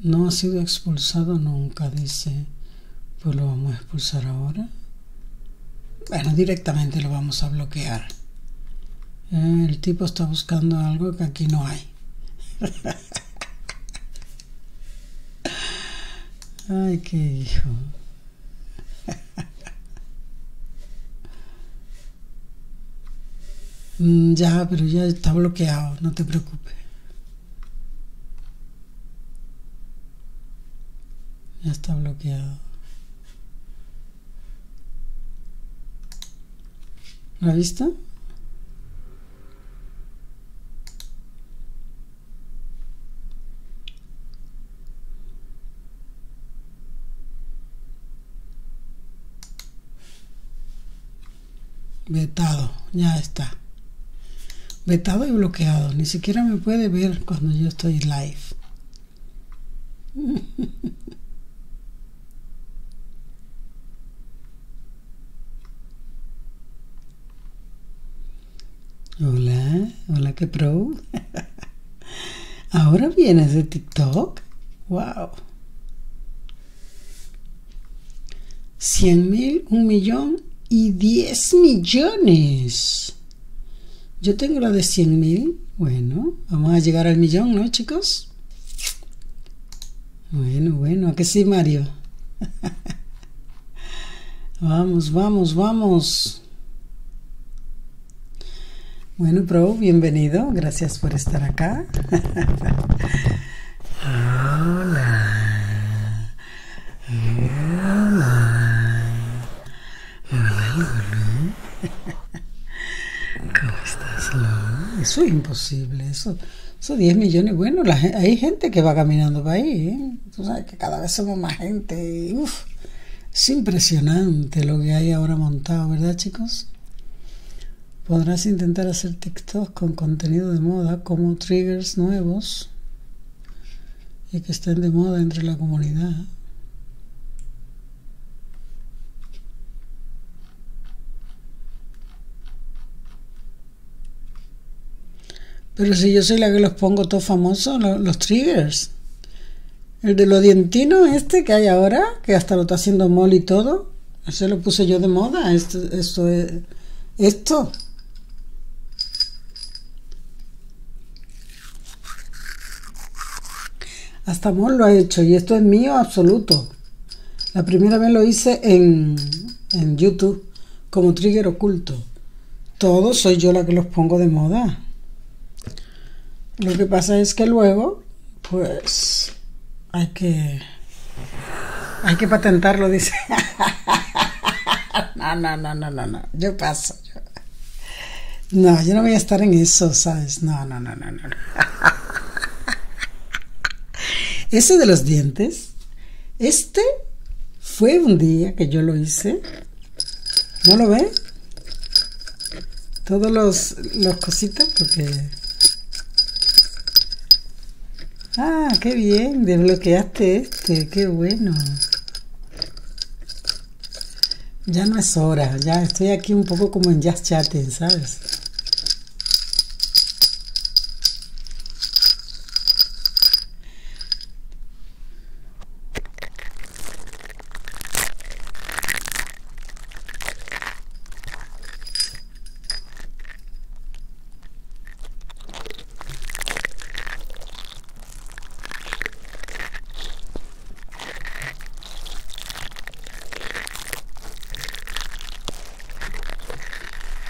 No ha sido expulsado nunca, dice. Pues lo vamos a expulsar ahora. Bueno, directamente lo vamos a bloquear. Eh, el tipo está buscando algo que aquí no hay. Ay, qué hijo. Mm, ya, pero ya está bloqueado, no te preocupes. Ya está bloqueado. ¿La vista? vetado, ya está. Vetado y bloqueado. Ni siquiera me puede ver cuando yo estoy live. Hola, hola que pro. Ahora vienes de TikTok. Wow. 100 mil, un millón y 10 millones. Yo tengo la de 100 mil. Bueno, vamos a llegar al millón, ¿no, chicos? Bueno, bueno, ¿a sí, Mario? vamos, vamos, vamos. Bueno, Pro, bienvenido. Gracias por estar acá. Hola. Hola. ¿Cómo estás, Eso es imposible. Eso, eso 10 millones. Bueno, hay gente que va caminando para ahí. ¿eh? Tú sabes que cada vez somos más gente. Y, es impresionante lo que hay ahora montado, ¿verdad, chicos? Podrás intentar hacer TikTok con contenido de moda como triggers nuevos y que estén de moda entre la comunidad. Pero si yo soy la que los pongo todos famosos, los, triggers. El de los dientinos este que hay ahora, que hasta lo está haciendo mol y todo, se lo puse yo de moda, esto, esto Esto. Hasta Mol lo ha hecho y esto es mío absoluto. La primera vez lo hice en YouTube como trigger oculto. Todo soy yo la que los pongo de moda. Lo que pasa es que luego, pues, hay que. Hay que patentarlo, dice. no, no, no, no, no, no. Yo paso. No, yo no voy a estar en eso, ¿sabes? No, no, no, no, no. Ese de los dientes, este fue un día que yo lo hice ¿No lo ve? Todos los, cositas porque... Ah, qué bien, desbloqueaste este, qué bueno. Ya no es hora, ya estoy aquí un poco como en jazz chat ¿sabes?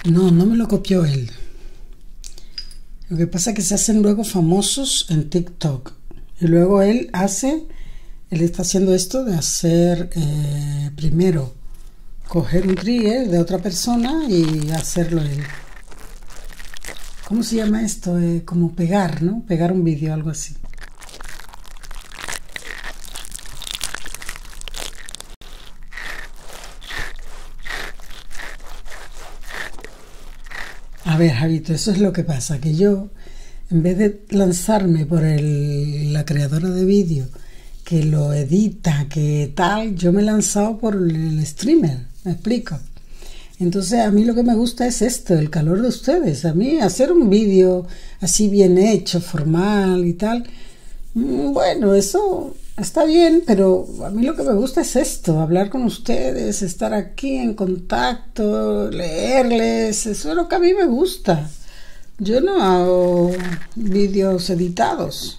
No, no me lo copió él. Lo que pasa es que se hacen luego famosos en TikTok. Y luego él hace, él está haciendo esto de hacer eh, primero coger un trigger de otra persona y hacerlo él. ¿Cómo se llama esto? Eh, como pegar, ¿no? Pegar un vídeo, algo así. A ver, Javito, eso es lo que pasa, que yo, en vez de lanzarme por la creadora de vídeo, que lo edita, que tal, yo me he lanzado por el streamer, me explico. Entonces a mí lo que me gusta es esto, el calor de ustedes. A mí hacer un vídeo así bien hecho, formal y tal, mm, bueno, eso está bien, pero a mí lo que me gusta es esto, hablar con ustedes, estar aquí aquí en contacto, leerles, eso es lo que a mí me gusta. Yo no hago vídeos editados.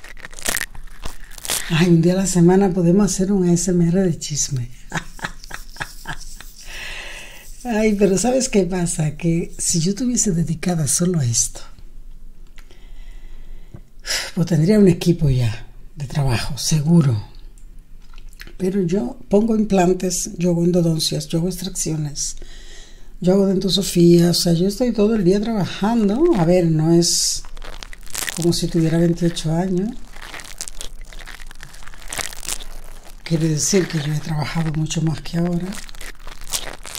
Ay, un día a la semana podemos hacer un ASMR de chisme. Ay, pero ¿sabes qué pasa? Que si yo tuviese dedicada solo a esto, pues tendría un equipo ya de trabajo, seguro. Pero yo pongo implantes, yo hago endodoncias, yo hago extracciones, yo hago dentosofía, o sea, yo estoy todo el día trabajando. A ver, no es como si tuviera 28 años. Quiere decir que yo he trabajado mucho más que ahora.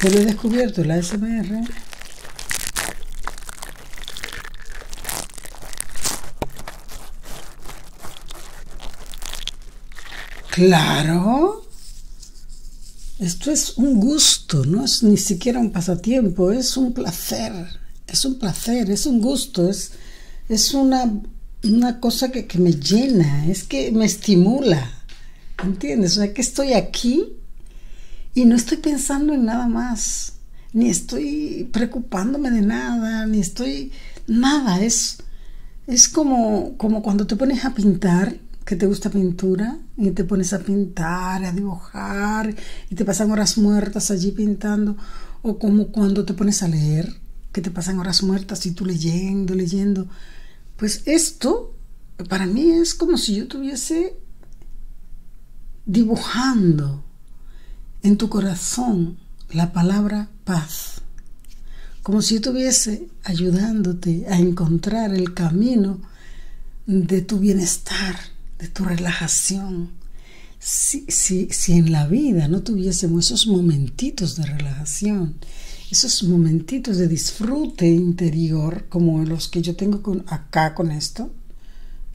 Pero he descubierto la SMR Claro. Esto es un gusto, no es ni siquiera un pasatiempo, es un placer, es un placer, es un gusto, es, es una, una cosa que, me llena, es que me estimula. ¿Entiendes? O sea, que estoy aquí y no estoy pensando en nada más, ni estoy preocupándome de nada, ni estoy nada. Es, es como, como cuando te pones a pintar, que te gusta pintura, y te pones a pintar, a dibujar y te pasan horas muertas allí pintando, o como cuando te pones a leer, que te pasan horas muertas y tú leyendo, leyendo. Pues esto para mí es como si yo tuviese dibujando en tu corazón la palabra paz, como si estuviese ayudándote a encontrar el camino de tu bienestar, de tu relajación, si, si en la vida no tuviésemos esos momentitos de relajación, esos momentitos de disfrute interior como los que yo tengo con, acá con esto,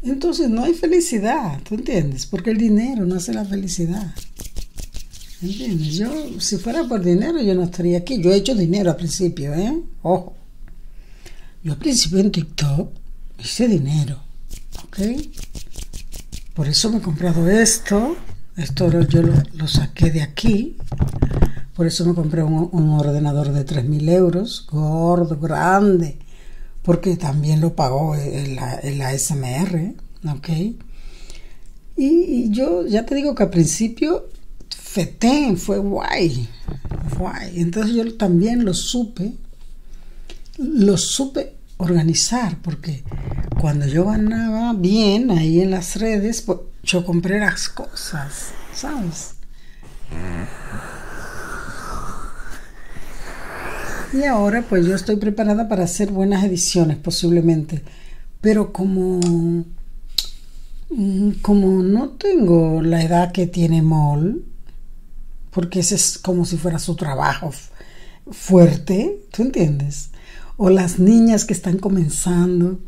entonces no hay felicidad, ¿tú entiendes? Porque el dinero no hace la felicidad. ¿Entiendes? Yo, si fuera por dinero, yo no estaría aquí. Yo he hecho dinero al principio, ¿eh? Ojo. Yo al principio en TikTok hice dinero, ¿ok? Por eso me he comprado esto. Esto yo lo, saqué de aquí. Por eso me compré un, ordenador de 3.000 euros, gordo, grande, porque también lo pagó el, ASMR, ¿ok? Y, yo ya te digo que al principio feté, fue guay, guay. Entonces yo también lo supe lo supe organizar porque cuando yo ganaba bien ahí en las redes, pues, yo compré las cosas, ¿sabes? Y ahora pues yo estoy preparada para hacer buenas ediciones posiblemente, pero como mm, como no tengo la edad que tiene Mol, porque ese es como si fuera su trabajo fuerte, ¿tú entiendes? O las niñas que están comenzando,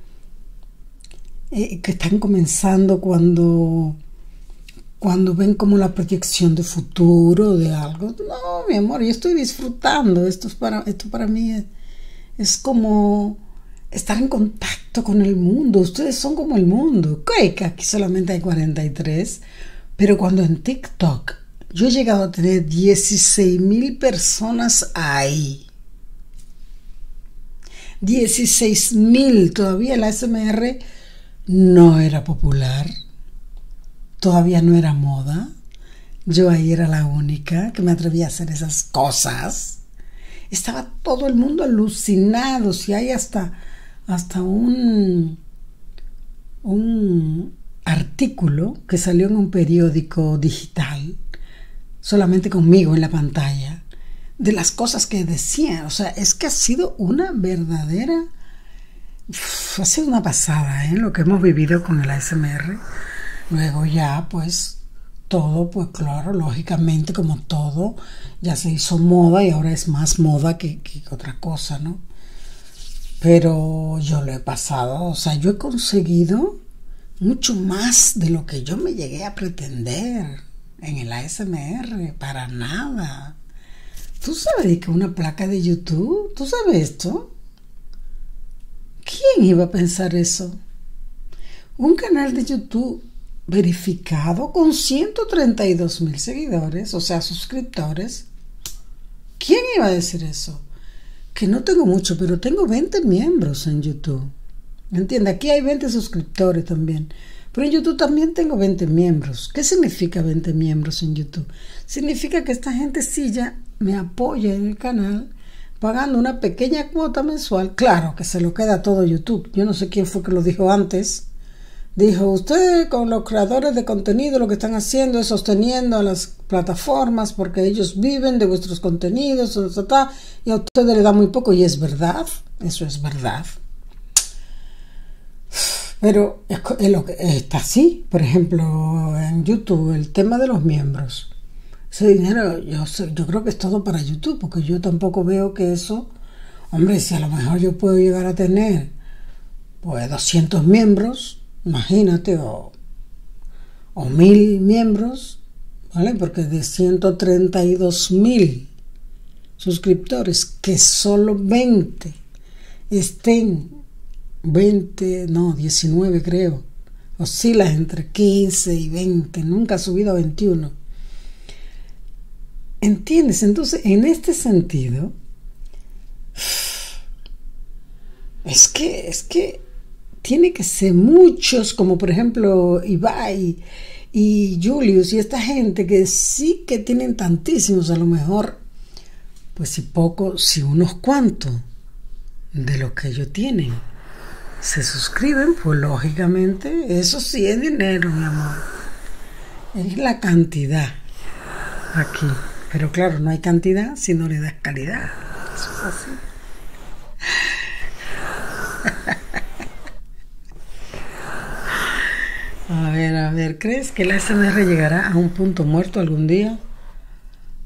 eh, que están comenzando cuando, cuando ven como la proyección de futuro, de algo. No, mi amor, yo estoy disfrutando, esto, para, mí es como estar en contacto con el mundo, ustedes son como el mundo que aquí solamente hay 43, pero cuando en TikTok yo he llegado a tener 16.000 mil personas ahí. 16.000. mil, todavía la SMR no era popular, todavía no era moda. Yo ahí era la única que me atrevía a hacer esas cosas. Estaba todo el mundo alucinado, si hay hasta hasta un, artículo que salió en un periódico digital, solamente conmigo en la pantalla, de las cosas que decían. O sea, es que ha sido una verdadera... ha sido una pasada ¿eh? lo que hemos vivido con el ASMR. Luego ya, pues, todo, pues claro, lógicamente como todo, ya se hizo moda y ahora es más moda que, otra cosa, ¿no? Pero yo lo he pasado, o sea, yo he conseguido mucho más de lo que yo me llegué a pretender en el ASMR, para nada. ¿Tú sabes que una placa de YouTube? ¿Tú sabes esto? ¿Quién iba a pensar eso? Un canal de YouTube verificado con 132 mil seguidores, o sea, suscriptores. ¿Quién iba a decir eso? Que no tengo mucho, pero tengo 20 miembros en YouTube. Entiende, aquí hay 20 suscriptores también. Pero en YouTube también tengo 20 miembros. ¿Qué significa 20 miembros en YouTube? Significa que esta gente sí ya me apoya en el canal pagando una pequeña cuota mensual. Claro que se lo queda todo YouTube. Yo no sé quién fue que lo dijo antes, Dijo, usted con los creadores de contenido lo que están haciendo es sosteniendo a las plataformas porque ellos viven de vuestros contenidos y a ustedes le da muy poco y es verdad, eso es verdad. Pero está así, por ejemplo, en YouTube, el tema de los miembros. Ese dinero yo, yo creo que es todo para YouTube porque yo tampoco veo que eso hombre, si a lo mejor yo puedo llegar a tener pues 200 miembros, imagínate, o, 1000 miembros, ¿vale? Porque de 132.000 suscriptores, que solo 20 estén, 20, no, 19 creo, oscilas entre 15 y 20, nunca ha subido a 21. ¿Entiendes? Entonces, en este sentido, es que, es que tiene que ser muchos, como por ejemplo Ibai y Julius y esta gente que sí que tienen tantísimos, a lo mejor, pues si poco, si unos cuantos de lo que ellos tienen se suscriben, pues lógicamente eso sí es dinero, mi amor es la cantidad aquí. Pero claro, no hay cantidad si no le das calidad. Eso es así. A ver, a ver, ¿crees que la SR llegará a un punto muerto algún día?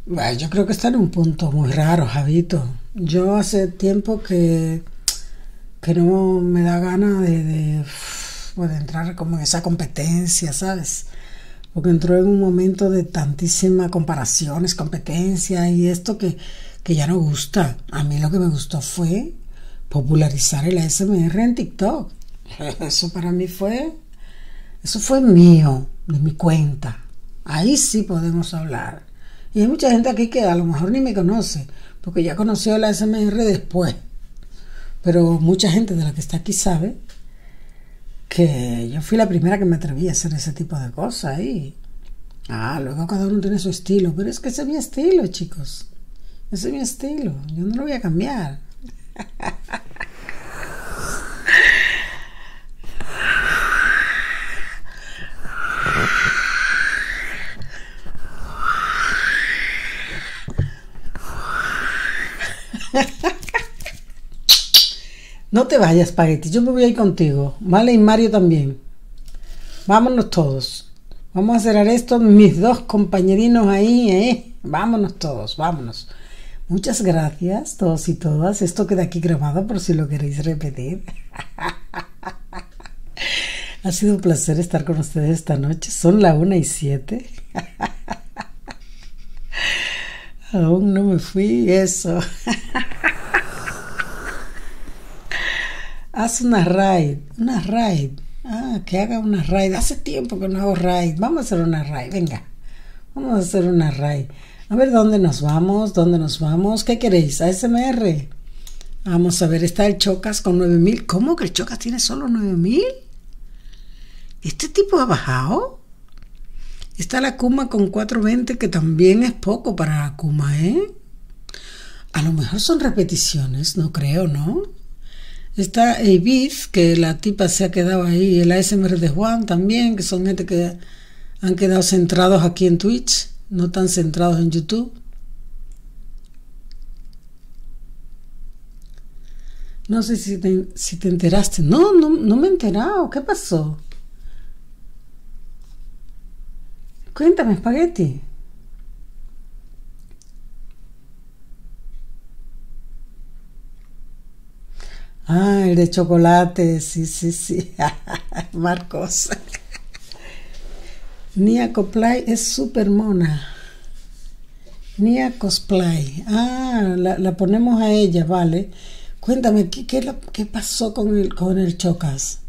Bueno, yo creo que está en un punto muy raro, Javito. Yo hace tiempo que que no me da gana pues, de, entrar como en esa competencia, ¿sabes? Porque entró en un momento de tantísimas comparaciones, competencia y esto que, que ya no gusta. A mí lo que me gustó fue popularizar el ASMR en TikTok. Eso para mí fue, eso fue mío, de mi cuenta. Ahí sí podemos hablar. Y hay mucha gente aquí que a lo mejor ni me conoce, porque ya conoció la SMR después. Pero mucha gente de la que está aquí sabe que yo fui la primera que me atreví a hacer ese tipo de cosas ah, luego cada uno tiene su estilo, pero es que ese es mi estilo, chicos. Ese es mi estilo, yo no lo voy a cambiar. No te vayas, Spaghetti. Yo me voy a ir contigo. Vale, y Mario también. Vámonos todos. Vamos a cerrar esto. Mis dos compañerinos ahí, ¿eh? Vámonos todos, vámonos. Muchas gracias, todos y todas. Esto queda aquí grabado por si lo queréis repetir. ha sido un placer estar con ustedes esta noche. Son la una y siete. Aún no me fui, eso. Haz una raid, una raid. Ah, que haga una raid. Hace tiempo que no hago raid. Vamos a hacer una raid, venga. Vamos a hacer una raid. A ver dónde nos vamos, dónde nos vamos. ¿Qué queréis? A SMR. Vamos a ver, está el Chocas con nueve mil, ¿Cómo que el Chocas tiene solo mil, ¿Este tipo ha bajado? Está la Kuma con 420, que también es poco para la Kuma, ¿eh? A lo mejor son repeticiones, no creo, ¿no? Está Ibiz, que la tipa se ha quedado ahí, el ASMR de Juan también, que son gente que han quedado centrados aquí en Twitch, no tan centrados en YouTube. No sé si te, enteraste. No, no, me he enterado. ¿Qué pasó? Cuéntame, espagueti. Ah, el de chocolate, sí, sí, sí. Marcos. Nia Coplay es súper mona. Nia Cosplay. Ah, la, ponemos a ella, vale. Cuéntame, ¿qué, pasó con el, con el Chocas?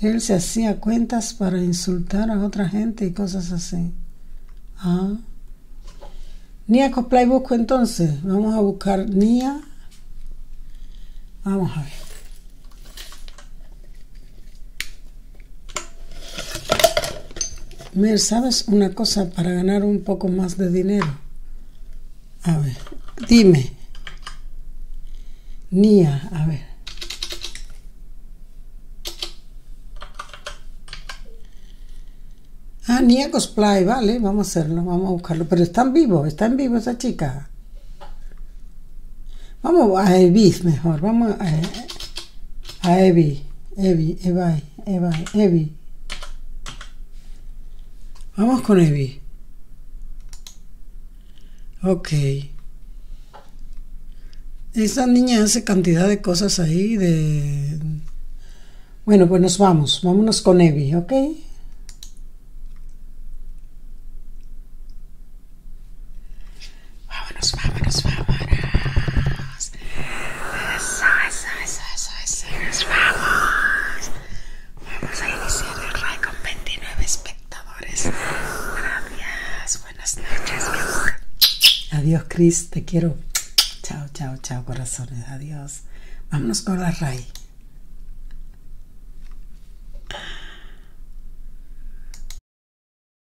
Él se hacía cuentas para insultar a otra gente y cosas así. Ah. Nia Cosplay busco entonces. Vamos a buscar Nia. Vamos a ver me ¿sabes una cosa para ganar un poco más de dinero? A ver, dime. Nia, a ver. Ah, Nia Cosplay, vale, vamos a hacerlo, vamos a buscarlo. Pero está en vivo, está en vivo esa chica. Vamos a Evis mejor, vamos a... Eh, a Evi, Evi, Evai, Evai, Evi. Vamos con Evi. Ok. Esta niña hace cantidad de cosas ahí de... Bueno, pues nos vamos. Vámonos con Evi, ¿ok? Vámonos, vámonos, vámonos. vamos. a iniciar el RAI con 29 espectadores. Gracias. Buenas noches, mi amor. Adiós, Cris, Te quiero. Chao, chao, chao, corazones. Adiós. Vámonos con la RAI.